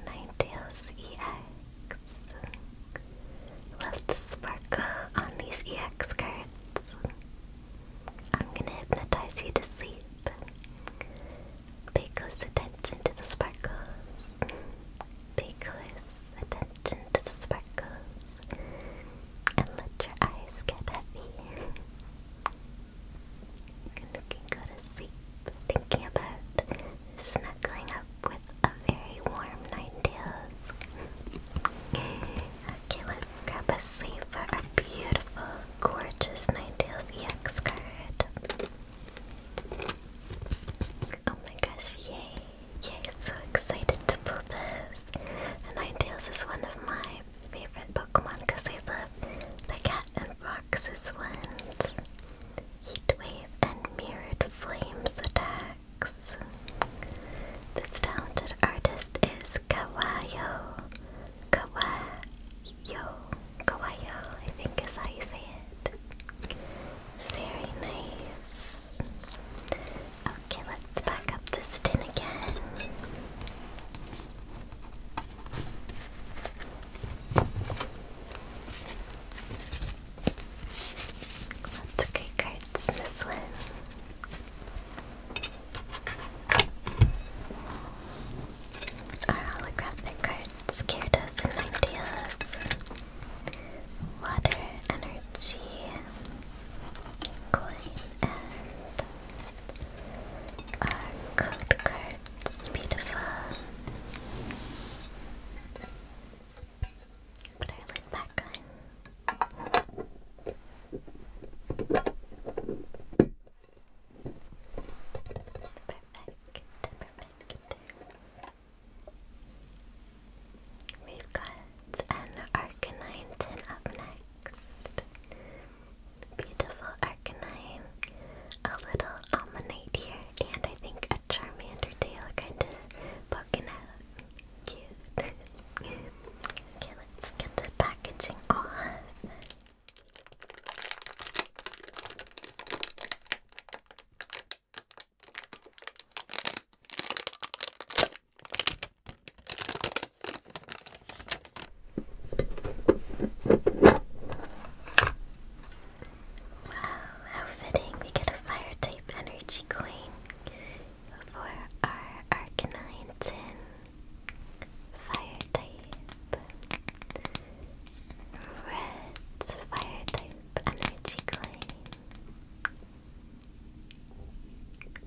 B: Ninetales EX. Love the sparkle on these EX cards. I'm gonna hypnotize you to sleep. Pay close attention to the sparkles. Pay close attention to the sparkles and let your eyes get heavy. and go to sleep thinking about snuggling up with a very warm Ninetales. okay, let's grab a sleeve for a beautiful, gorgeous Ninetales x card. Oh my gosh, yay! Yay, so excited to pull this. Ninetales. And Ninetales is one of my favorite Pokemon because they love the cat and foxes ones. Heat Wave and Mirrored Flames attacks. This talented artist is Kawayo. Kawayo. Kawayo, I think is how you say it. Very nice. Okay, let's back up this tin again. Lots of great cards in this one. Our holographic cards, Gyarados and Ideas, Water, Energy, coin and our code cards. Beautiful. Put our lid back on. We've got and Arcanine up next. Beautiful Arcanine, a little Almanite here, and I think a Charmander tail kind of poking out. Cute. *laughs* okay, let's get the packaging on how fitting we get a fire type energy coin for our Arcanine Fire type. Red fire type energy coin.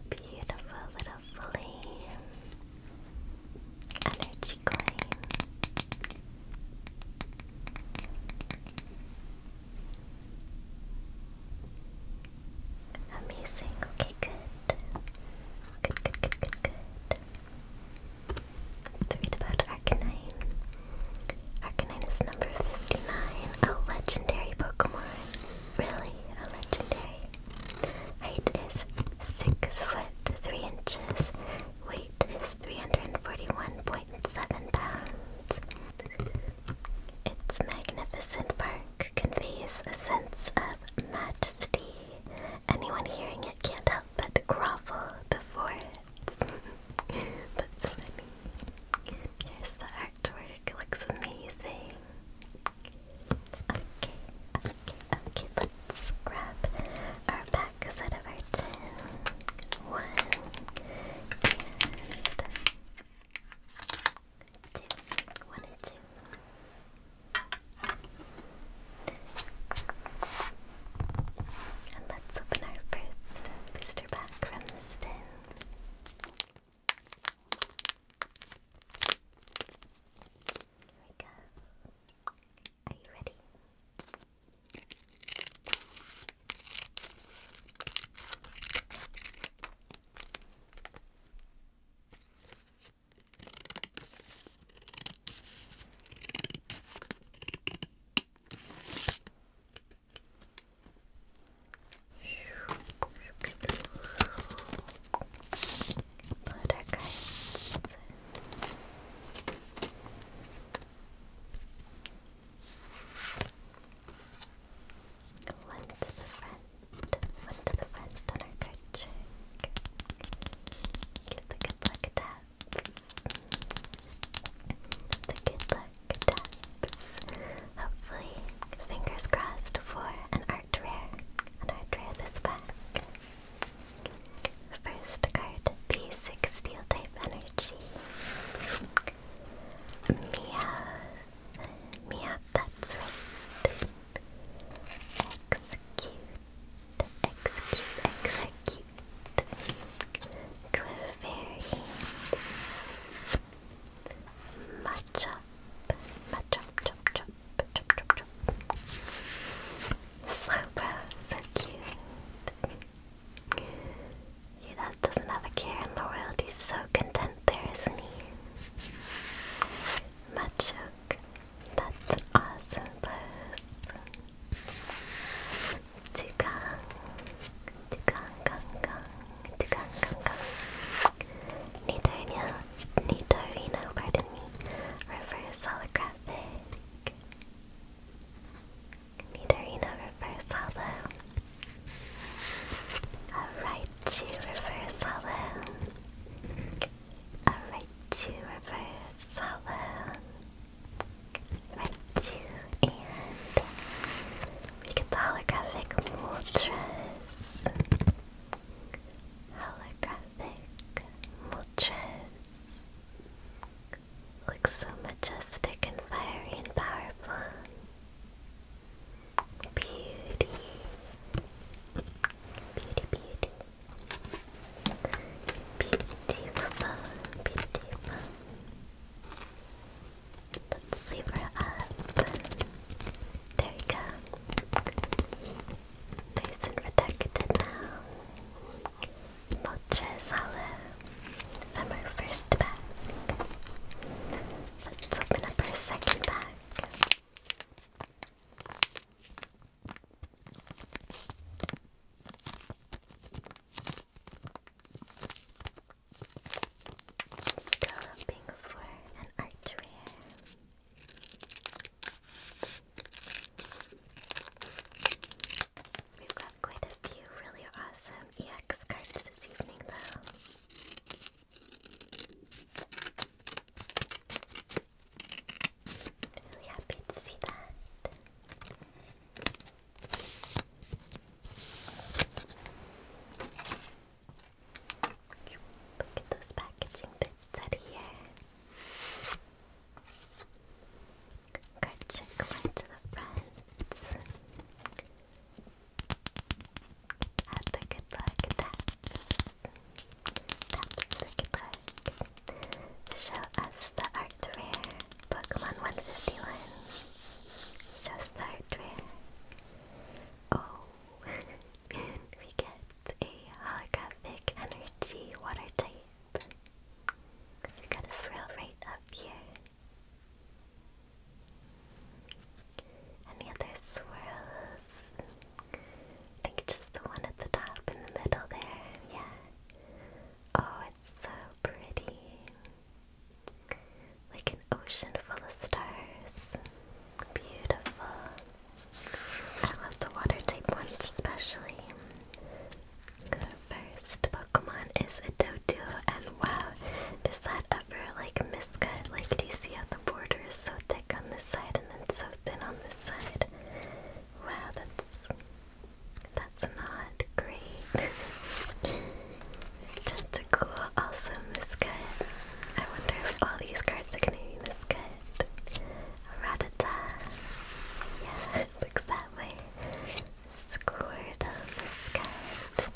B: Beautiful Energy coin. Amazing. Okay, good. Good, good, good, good, good. let about Arcanine. Arcanine is number 59, a legendary Pokemon really a legendary. Height is 6 foot 3 inches. Weight is 341.7 pounds. Its magnificent bark conveys a sense of majesty. Anyone hearing it can't help but grovel before it. *laughs* That's funny. Here's the artwork. It looks amazing. Okay, okay, okay, let's grab our pack set of our tin. One and two. and let's open our first booster pack from this tin. Here we go. Are you ready? Buttercups. One to the front, one to the front on our card trick. Give the good luck taps. The good luck taps. Hopefully, fingers crossed for an art rare. An art rare this pack. First card, basic steel type energy. Meowth. Meowth, that's right. Execute. Execute, execute. Clefairy. Match up, match up, chop, chop, chop, chop, chop. So brown, so cute. He doesn't have a care in the world. He's so content there, isn't he? Machoke, that's awesome pose. Tukang, tukang, kang, kang, tukang, kang, kang. Nidorino, Nidorino, pardon me, reverse holographic. Nidorino reverse hollow. Alright, you reverse hollow. Alright, you reverse hollow. Right, you and we get the holographic Moltres holographic mulches. Looks so majestic and fiery and powerful. Beauty. Beauty, beauty. Beautiful, beautiful. Let's leave her up. There you go. Nice and protected now. Moltres Hollow from our first pack. Let's open up our second pack. Still hoping for an We've got quite a few really awesome EX cards this evening, though. Really happy to see that. Look at those packaging bits out here. Card trick went to the front. Have the good luck taps. Taps the good luck. Show us the art rare. Pokemon 151. Show us the art Oh. *laughs* we get a holographic energy water type. We got a swirl right up here. Any other swirls? I think just the one at the top in the middle there, yeah. Oh, it's so pretty. Like an ocean full of stars. Beautiful. I love the water type ones especially. The first Pokemon is a Dodu, and wow, is that ever like miscut? Like, do you see how the border is so thick on this side and then so thin on this side? Wow, that's that's not great. *laughs* Tentacool also miscut. I wonder if all these cards are gonna be this good. Ratata. Yeah, it looks that way. Squirtle is good.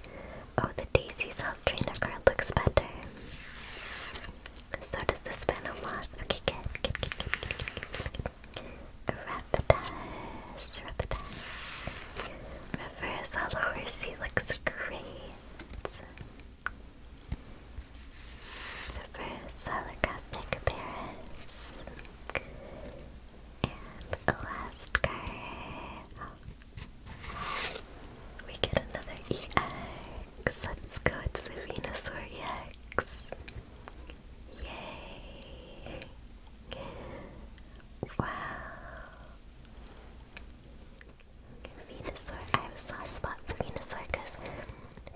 B: Oh, the Daisy Self Trainer card looks better. So does this Phantom Moth. Okay, good, good, good, good, good, good, Horsey looks great. The first holographic Paris. And the last card. We get another EX. Let's go, it's the Venusaur EX. Yay! Wow. Venusaur. I have a soft spot for Venusaur because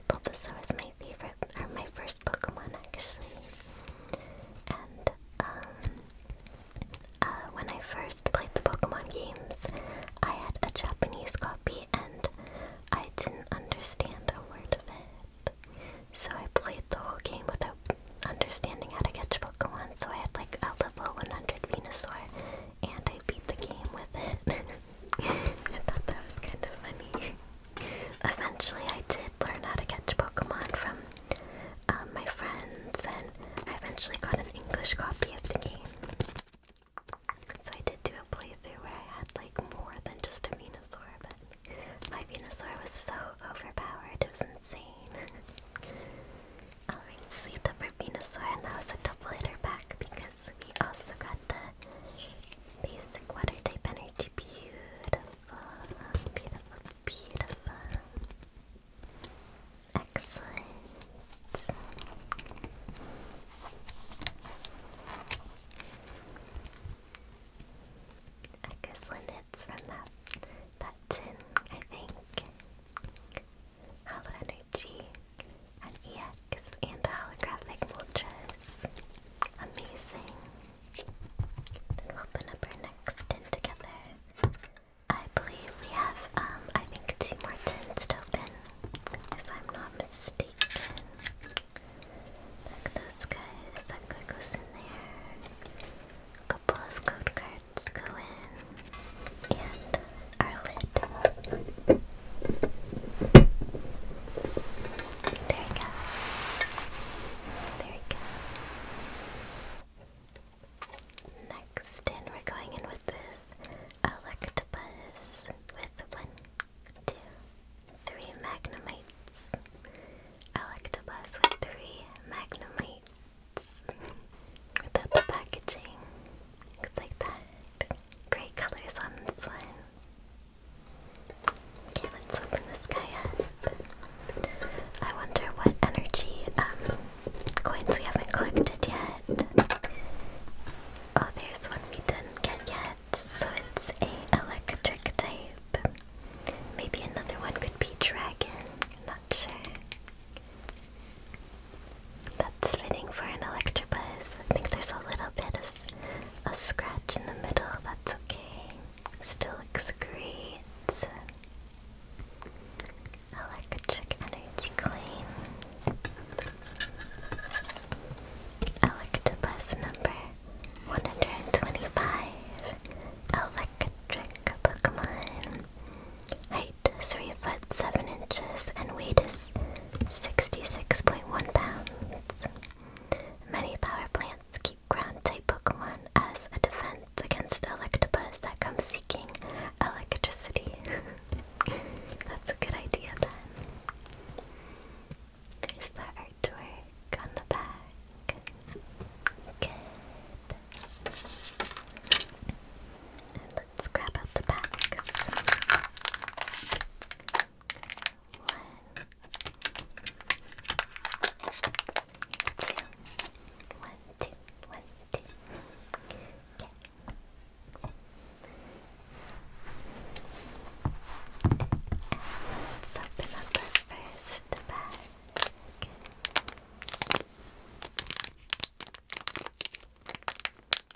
B: Bulbasaur is my favorite, or my first Pokemon actually. And um, uh, when I first played the Pokemon games, I had a Japanese copy and I didn't understand a word of it. So I played the whole game without understanding how to catch Pokemon. So I had like a level 100 Venusaur and I beat the game with it. *laughs* I thought that was kind of funny. Eventually, I did learn how to catch Pokemon from um, my friends, and I eventually got an English copy of the game. So I did do a playthrough where I had like more than just a Venusaur, but my Venusaur was so overpowered, it was insane. *laughs* Alright, sleeved Venusaur, and that was a double hitter pack because we also got the basic water type energy. Beautiful, beautiful, beautiful. Excellent. Excellent hits from that that tin, I think. Hollow energy EG, and EX, and holographic vultures. Amazing. Then open up our next tin together. I believe we have, um, I think two more tins to open, if I'm not mistaken. Like those guys, that guy goes in there. A couple of code cards go in and our lid. There we go. There we go. Next, and we're going in with this Electabuzz with one, two, three magnemites. Electabuzz with three magnemites. Without the packaging. Looks like that. Great colors on this one. Okay, let's open this guy up. I wonder what energy um, coins we haven't collected yet. Oh, there's one we didn't get yet. So it's a electric type. Maybe another one could be dragon. not sure. That's fitting for an Electabuzz. I think there's a little bit of a scratch in the middle. That's okay. Still looks great. Electric Energy Coin. Electabuzz number 125. Electric Pokemon. I 3 foot 7 inches and weight is 66.1 pounds. Many power plants keep ground type Pokemon as a defense against Electabuzz that comes seeking electricity. *laughs* That's a good idea then. Here's the artwork on the back. Good let's grab out the packs. One, two, one, two, one, two. Okay. Let's open up the first bag.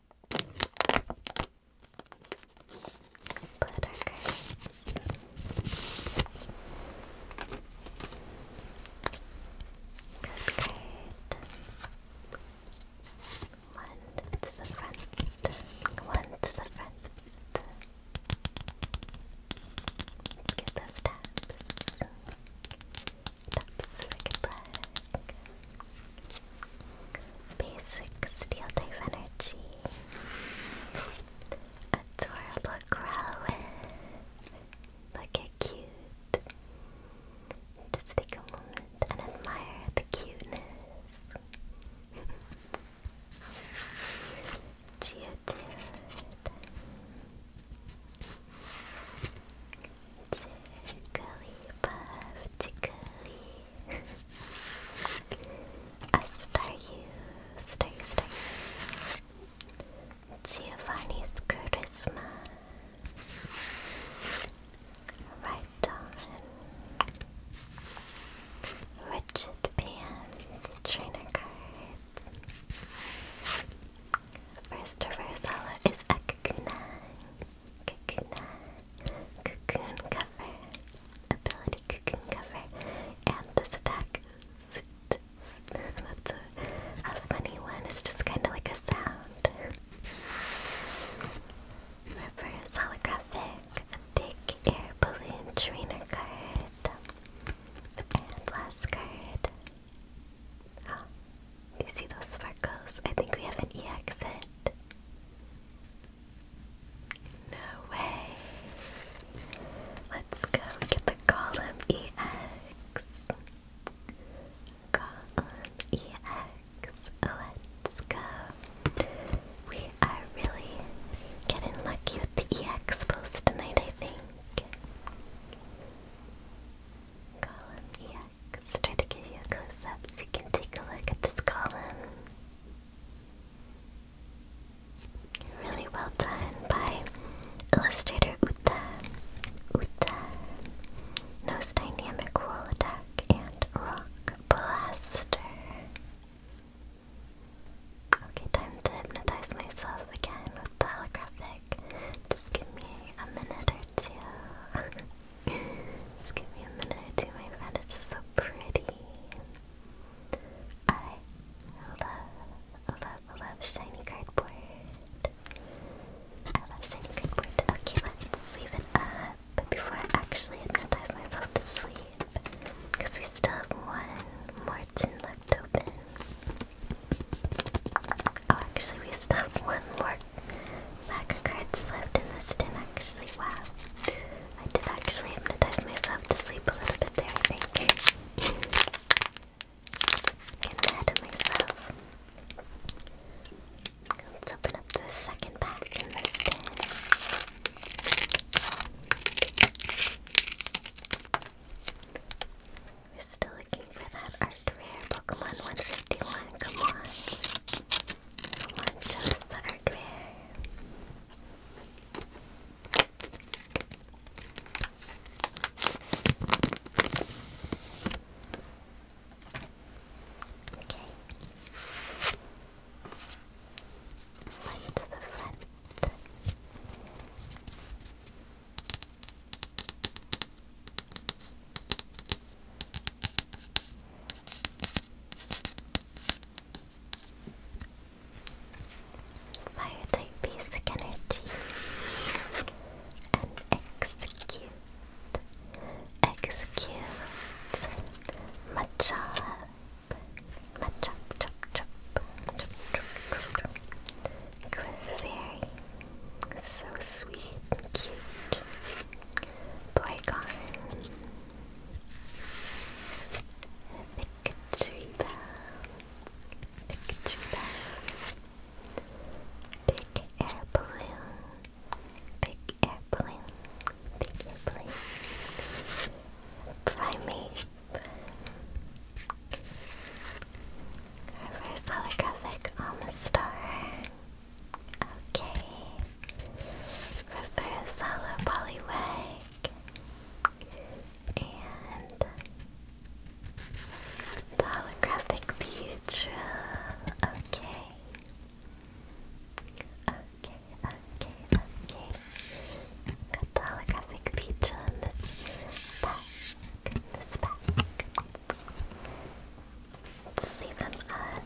B: Glitter cards. Good, great. One to the front. One to the front. get those taps. Taps for goodbye. Basic steel type energy. Adorable Growlithe. Look at cute. Just take a moment and admire the cuteness. *laughs* Geodude. Tickly puff, tickly. A star you, you, star you. Giovanni's charisma. Right on. Richard Band, trainer cards. First reverse holo is Akakunai cocoon, cocoon cover, ability cocoon cover, and this attack is that's a, a funny one. It's just kind of like a sound. Reverse holographic, big air balloon trainer card, and last card. Oh, you see those sparkles? I think we have an EX hit. No way. Let's go get the column EX. Column EX. Let's go. We are really getting lucky with the EX post tonight, I think. Let's try to give you a close up so you can take a look at this column. Really well done by illustrator Uta. Uta. Nose Dynamic Roll Attack and Rock Blaster. Okay, time to hypnotize myself again with holographic. Just give me a minute or two. *laughs* Just give me a minute my friend. It's just so pretty. I love, love, love shiny cardboard. I love shiny cardboard. Okay, let's leave it up before I actually hypnotize myself to sleep. Because we still have one more tin left open. Oh, actually, we still have one more lack of cards in this tin actually. Wow. I did actually hypnotize myself to sleep a little bit there, I think. Getting of myself. Let's open up the second pack in this tin. We're still looking for that art rare Pokemon 151, come on. One shows the hardware. Okay. One to the front. Fire type basic and execute. Execute. Machop. Machop, chop, chop, chop, chop, chop, chop. So sweet and cute. Boycon. Victory bell, tree bell, big air balloon, big air balloon, big air balloon, primate, reverse holographic on the star. Okay. Reversala Poliwag and holographic Beatrill. Okay. Okay, okay, okay. Got the holographic Beatrill in this pack. This pack sleeve them up.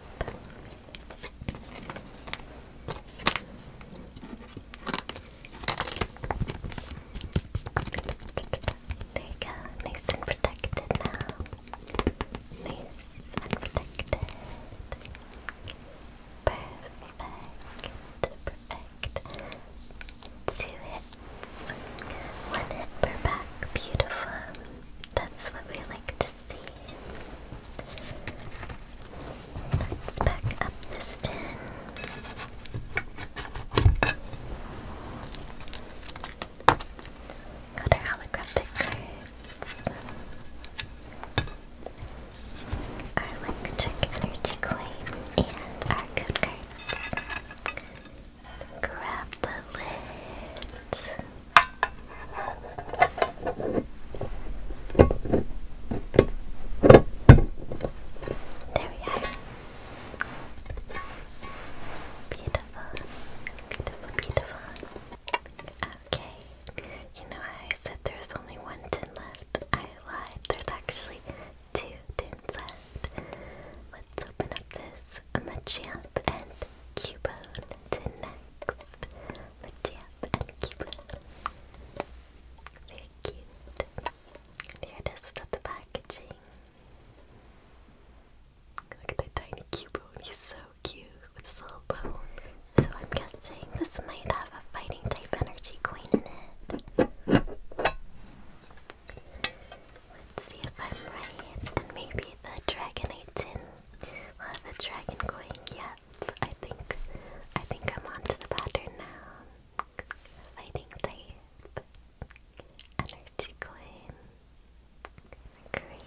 B: There you go, nice and protected now. Nice and protected. Perfect, perfect. Two hits. One hit per back, beautiful. That's what we like to see. Let's back up this tin. Got our holographic Our electric energy coin and our good cards. Grab the lids. There we are. Beautiful, beautiful, beautiful. Okay, you know I said there's only one tin left. I lied. There's actually two tins left. Let's open up this Machamp and Cubone to next. Machamp and Cupid. Very cute. There it is without the packaging. Look at that tiny Cubone, he's so cute with his little bone. So I'm guessing this might have a fighting type energy coin in it. Let's see if I'm right, and maybe the Dragonite tin we have a dragon going. Yep, I think I think I'm onto the pattern now. Lighting tape, energy queen. great.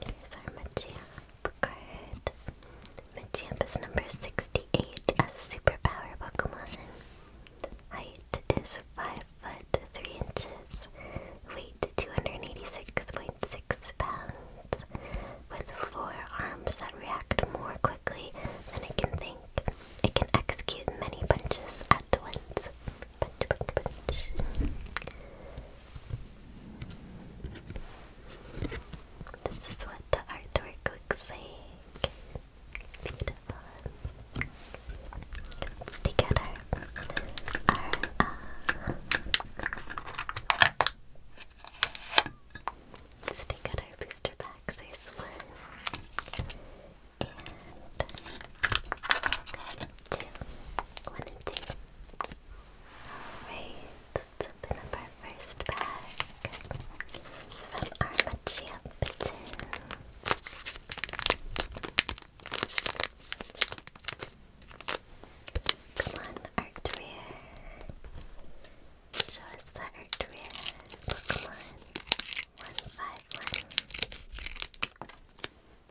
B: Here's our Machamp card. Machamp is number 68, a superpower Pokemon. Height is 5 foot 3 inches, weight 286.6 pounds, with four arms that react more quickly than it can think. It can execute many punches at once. Punch, punch, punch. This is what the artwork looks like. Let's take out our, uh, let's take out our booster packs. There's one and two, one and two. Alright, let's open up our first bag from our Come on, Show us the Arcturian Pokemon. 151.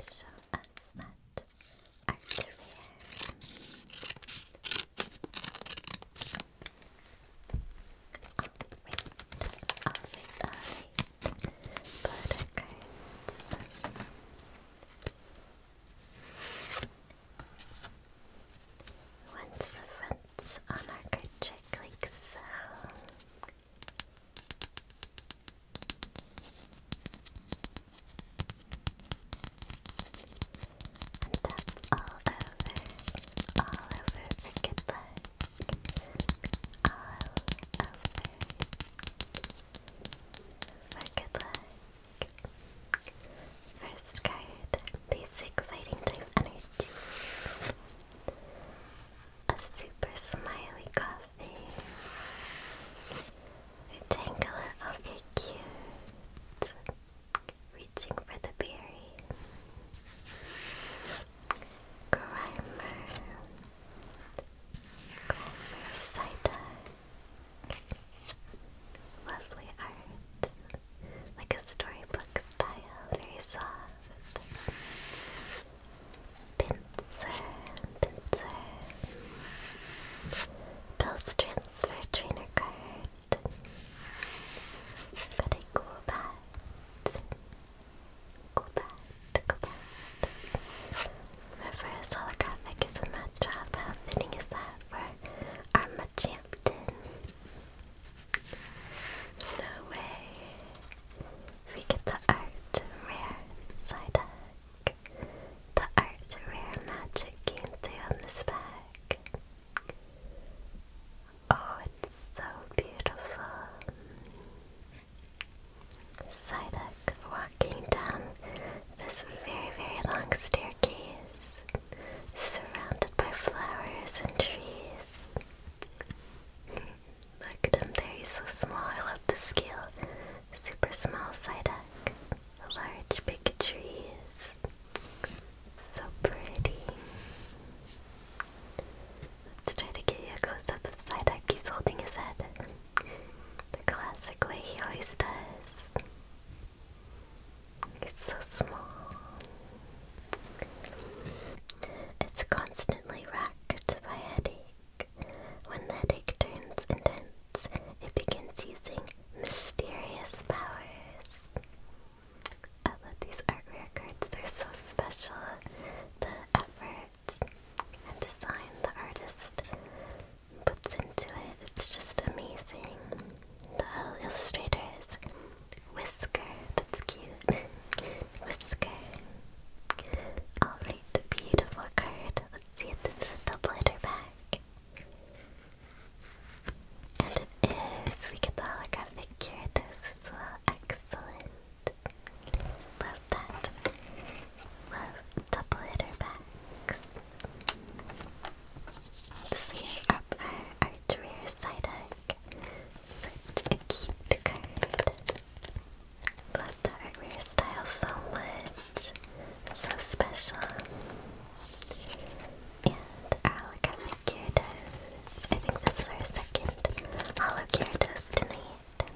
B: Show us that Arcturian. But okay, the front on our card trick like so. And tap all over, all over, forget that. All over, for good luck. First card, basic fighting type energy. A super smiley coffee. Rectangular of your cute. Reaching for the berry. Grimer, Grimer Psyduck. Lovely art, like a storybook style, very soft. Pinsir, Pinsir. Bill's Transfer Trainer Card. Got cool bat. Gobat, Gobat. Reverse holographic is a matchup. How fitting is that for our No way. We get the art rare Psyduck. The art rare magic came on this pack. Oh, it's so beautiful. Sidak walking down this very, very long staircase, surrounded by flowers and trees. Hmm, look at him there, he's so small. I love the scale. Super small Sidak, Large, big trees. So pretty. Let's try to get you a close up of Psyduck. He's holding his head. the classic way he always does. It's so small. It's constantly racked by headache. When the headache turns intense, it begins using mysterious powers. I love these art rare they're so special. The ever cards and design the artist puts into it. It's just amazing. The illustrator is Whisker. That's cute. *laughs* Whisker. Alright, beautiful card. Let's see if this is a double back. And it is. We get the holographic Gyarados as well. Excellent. Love that. Love double hitter packs. Sleeve up our, our rear side hug. Such a cute card. Love the artwork style so much. So special. And our holographic Gyarados. I think this is our second holo Gyarados tonight. Look,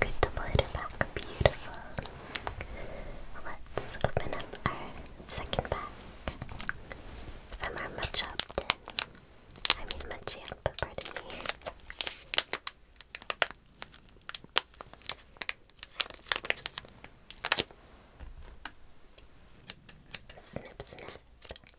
B: good to put it Beautiful. Let's open up our second bag from our Machopped. I mean Machamp, pardon me. Snip, snip.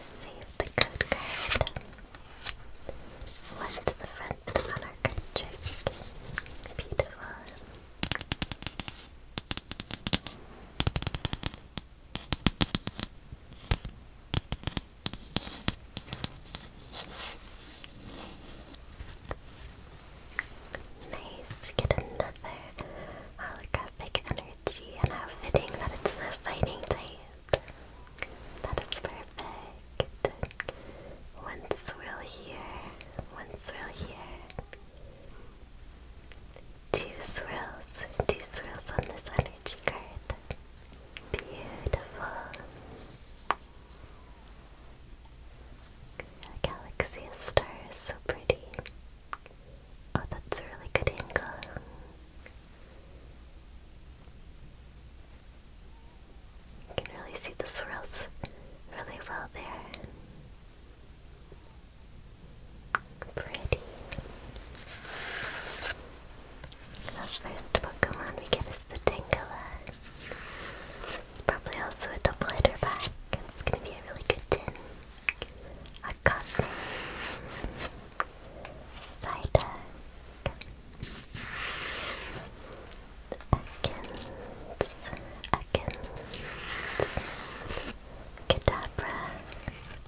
B: Save the code card. One to the front on our card trick. Beautiful. Nice, we get another holographic energy energy and how fitting that it's the fighting type. That is perfect. One swirl here, one swirl here. Two swirls, two swirls on this energy card. Beautiful. A galaxy of stars, so pretty. Oh, that's a really good angle. You can really see the swirls really well there. Pretty. The first Pokemon we get is the Tangela. This is probably also a double header pack. It's gonna be a really good tin. Akane, Psyduck, Ekans, Ekans, Kadabra,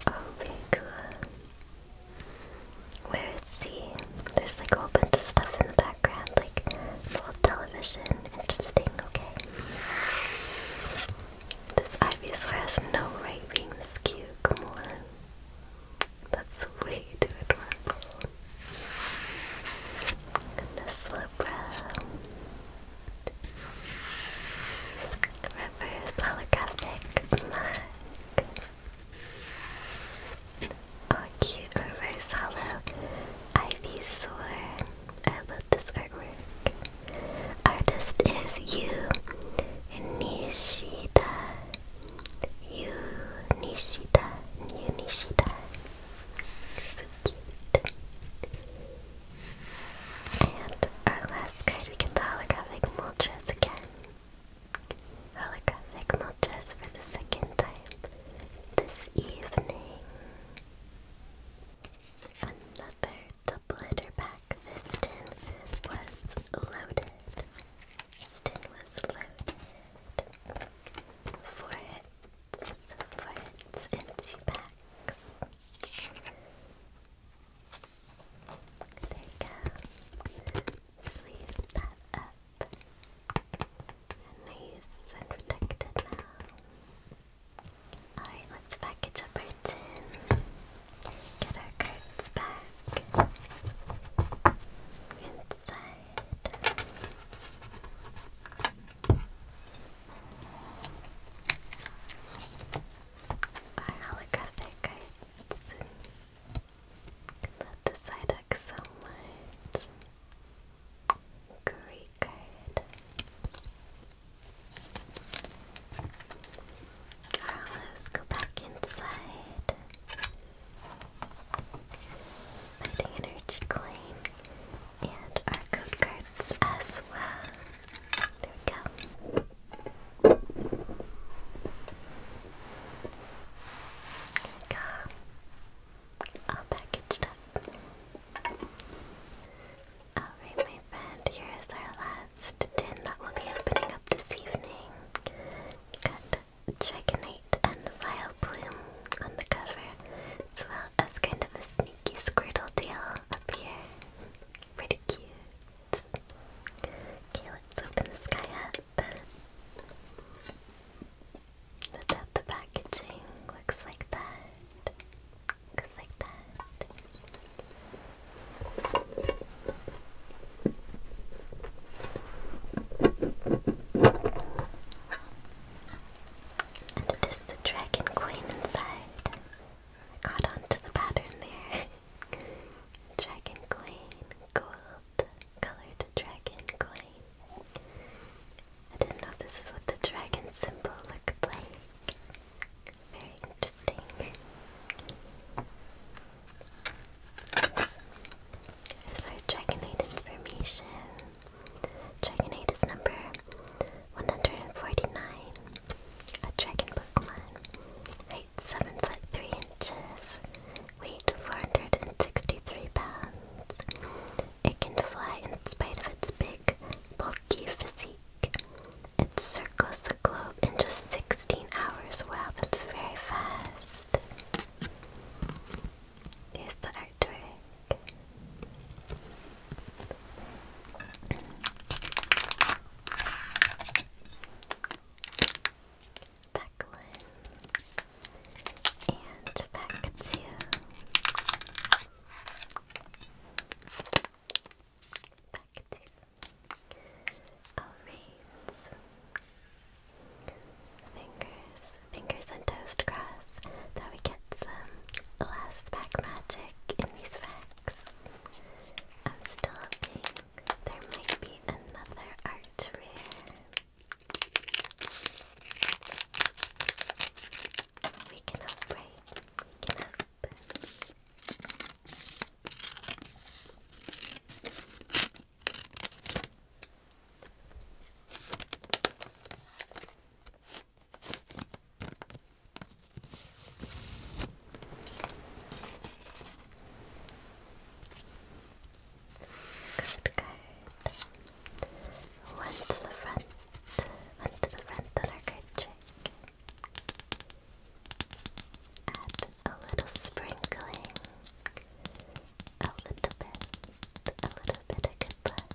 B: Obigua. Where is he? There's like a whole bunch of stuff in the background, like full television. Interesting, okay. This Ivysaur has no right being this cute, come on. That's way too adorable. And a Slowbro. Reverse holographic Oh, cute reverse hollow Ivysaur. I love this artwork. Artist is you, Nishida. Yu Nishida. Yu Nishida. So cute. And our last card, we get the holographic Moltres again. Holographic Moltres for the second time this evening. Another the blitter pack. This tin was loaded. This tin was loaded. Four hits, four hits, and packs. There you go. Sleeve that up. Nice and protected now. Alright, let's package up our tin. Get our cards back. Inside. Our holographic cards. Love the side deck so much. Great let's go back inside. Fighting energy coin and our code cards as well. There we go. There we go. All packaged up. Alright, my friend, here is our last last tin that will be opening up this evening. Got Dragonite and Vileplume on the cover, as well as kind of a sneaky Squirtle tail up here. Pretty cute. Okay, let's open this guy up. the packaging looks like that. Looks like that. There's the dragon coin inside. I caught on the pattern there. *laughs* dragon coin, gold, colored dragon coin. I didn't know this is what the dragon symbol looked like. Very interesting. This is our Dragonite information. Dragonite is number 149. A dragon Pokemon. Height 7 foot 3 inches. Weight 463 pounds. It can fly in spite of its big, bulky physique. It circles the globe in just 16 hours. Wow, that's very fast. Here's the artwork. Back And back two. Back two. Fingers, fingers and toast cross that we get some last pack in these packs. I'm still hoping there might be another art rare. We can hope, We can hope. Good, good. One to the front, one to the front on our card trick. Add a little sprinkling. A little bit, a little bit of good luck.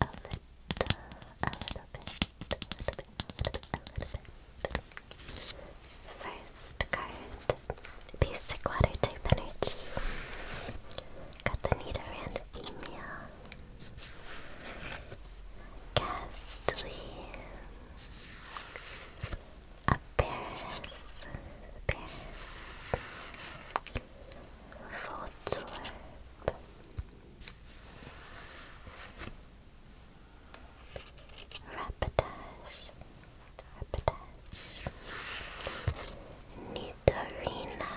B: A little, a little bit, a little bit, a little bit, a little bit. First card, basic water type energy. Got the Nidoran female. Ghastly, a Paris, Paris, Rapidash, Rapidash, Nidorina,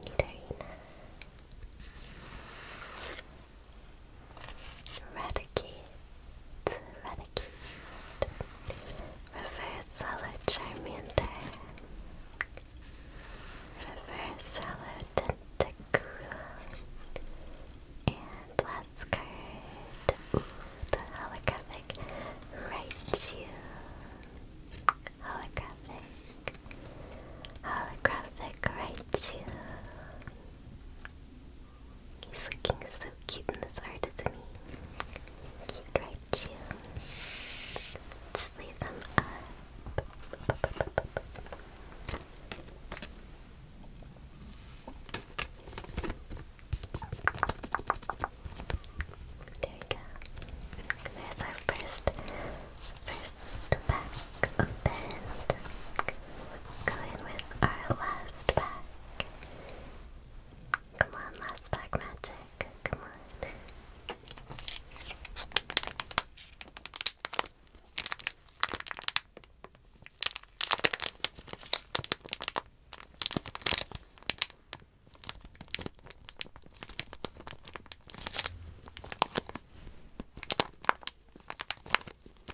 B: Nidorina. Raticate, Raticate, Reverse Hollow Reverse Hollow and last card, ooh, the holographic Raichu, holographic, holographic Raichu. He's looking so cute in this heart, isn't he? Cute, right, Chew? let leave them up. There we go. There's our first, first pack. Let's go in with our last pack. Come on, last pack magic. Come on.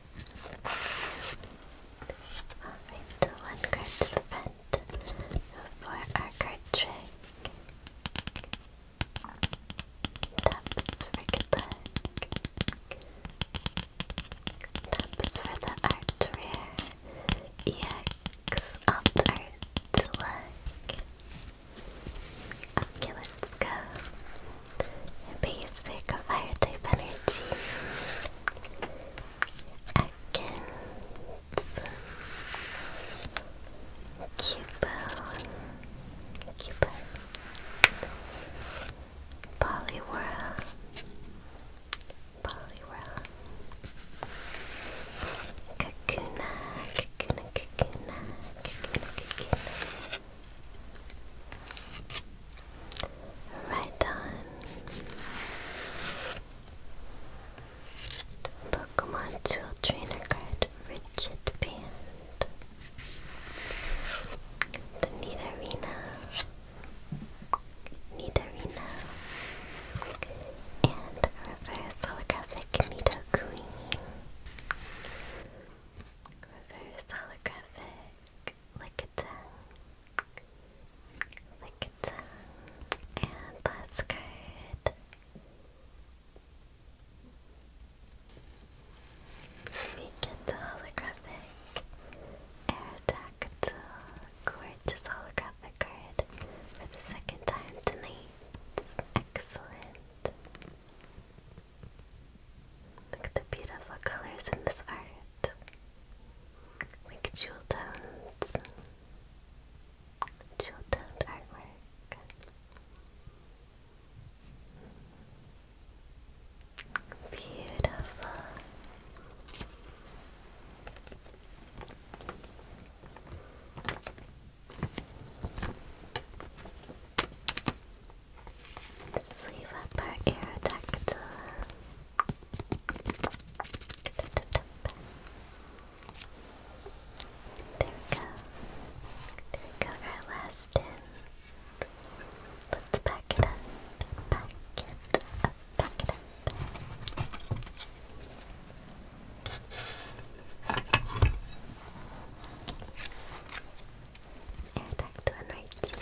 B: Alright, the one card to the front for our card trick. Taps for good luck. Taps for the art EX alt art Okay, let's go. Basic fire type energy against Cuba, Cuba, Polyworld, Polyworld, Kakuna, Kakuna, Kakuna, Kakuna, Kakuna. Right on. Pokemon Tool Trainer card, Richard Band. The Nidorina. Nidorina. And Reverse Holographic Nido Reverse Holographic lick, lick a tongue, lick a and last card. We get the holographic Aerodactyl Gorgeous holographic card for the second time tonight. Excellent. Look at the beautiful colors in this art like jewel tones, jewel toned artwork. Beautiful. Sleeve up our there we go. There we go, our last tin. Let's pack it up. Pack it up. Pack it up. Air duct one right too.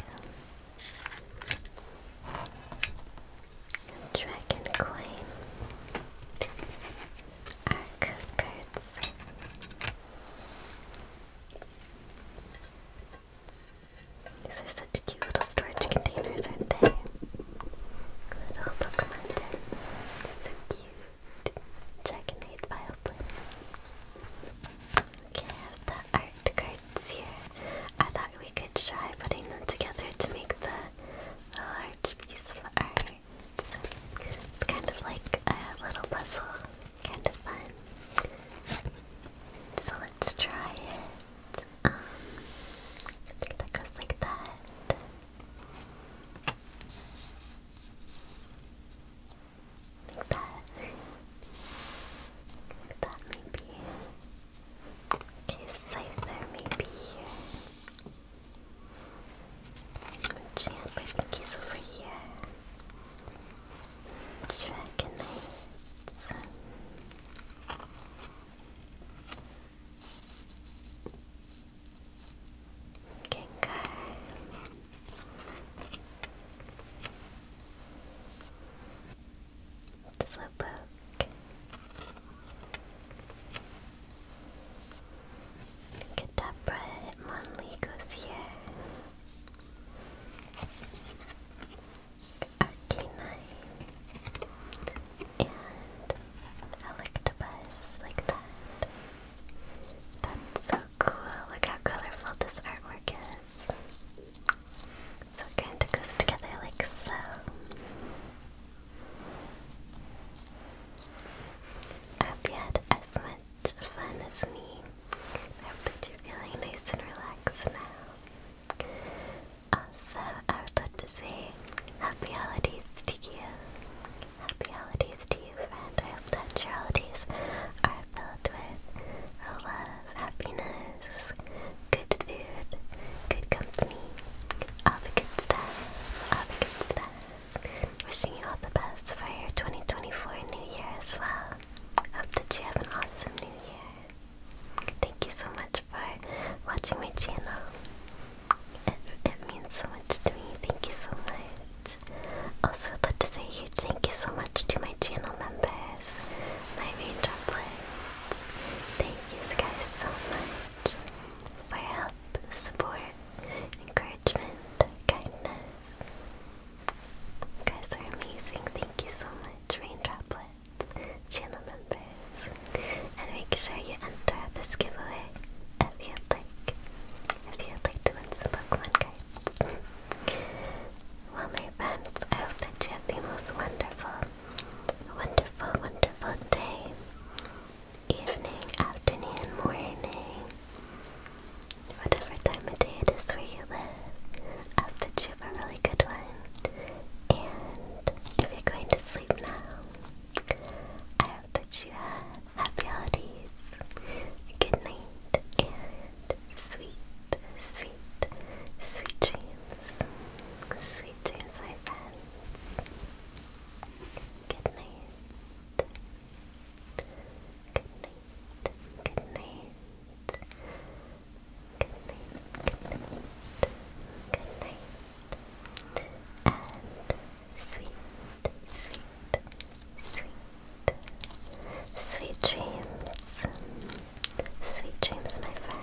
B: Dragon coin. Our cards. These are such cute little storage containers, aren't they? Little Pokemon So cute. Dragonite Vile Okay, I have the art cards here. I thought we could could try putting them together to make the, large piece of art. So it's kind of like a little puzzle, kind of fun. So let's try it. Um, I think that goes like that. Like that. that maybe. Okay, Scyther may be here. Champ, I think he's over here. Dragonite. Gengar. Slowpoke. Kadabra and Monlee And Electabuzz, like that. That's so cool. Look how colorful this artwork is. So it kind of goes together like so. I hope you had as much fun as me. I hope that you're feeling nice and relaxed now. Also, I would to say happy holidays to you. Happy holidays to you, friend. I hope that your holidays are filled with love, happiness, good food, good company, all the good stuff, all the good stuff. Wishing you all the best for your 2024 new year as well. Hope that you have an awesome new year. Thank you so much for watching my channel. It, means so much to me. Thank you so much. Also, i to say huge thank you so much to my channel members guys my Thank you guys so much for help, support, encouragement, kindness. guys are amazing. Thank you so much, Raindroplets, channel members. And make sure you enter this giveaway if you like. If you like to win some Pokemon cards. *laughs* well, my friends, I hope that you have the most wonderful, wonderful, wonderful day, evening, afternoon, morning, whatever time of day it is where you live. I hope that you have a really good one. And if you're going to sleep now, I hope that you have happy holidays, good night, and sweet, sweet, sweet dreams. Sweet dreams, my friends. Good night. Good night. Good night. Good night. Good night. Good night. And sweet, sweet, sweet, sweet dreams. Sweet dreams, my friend.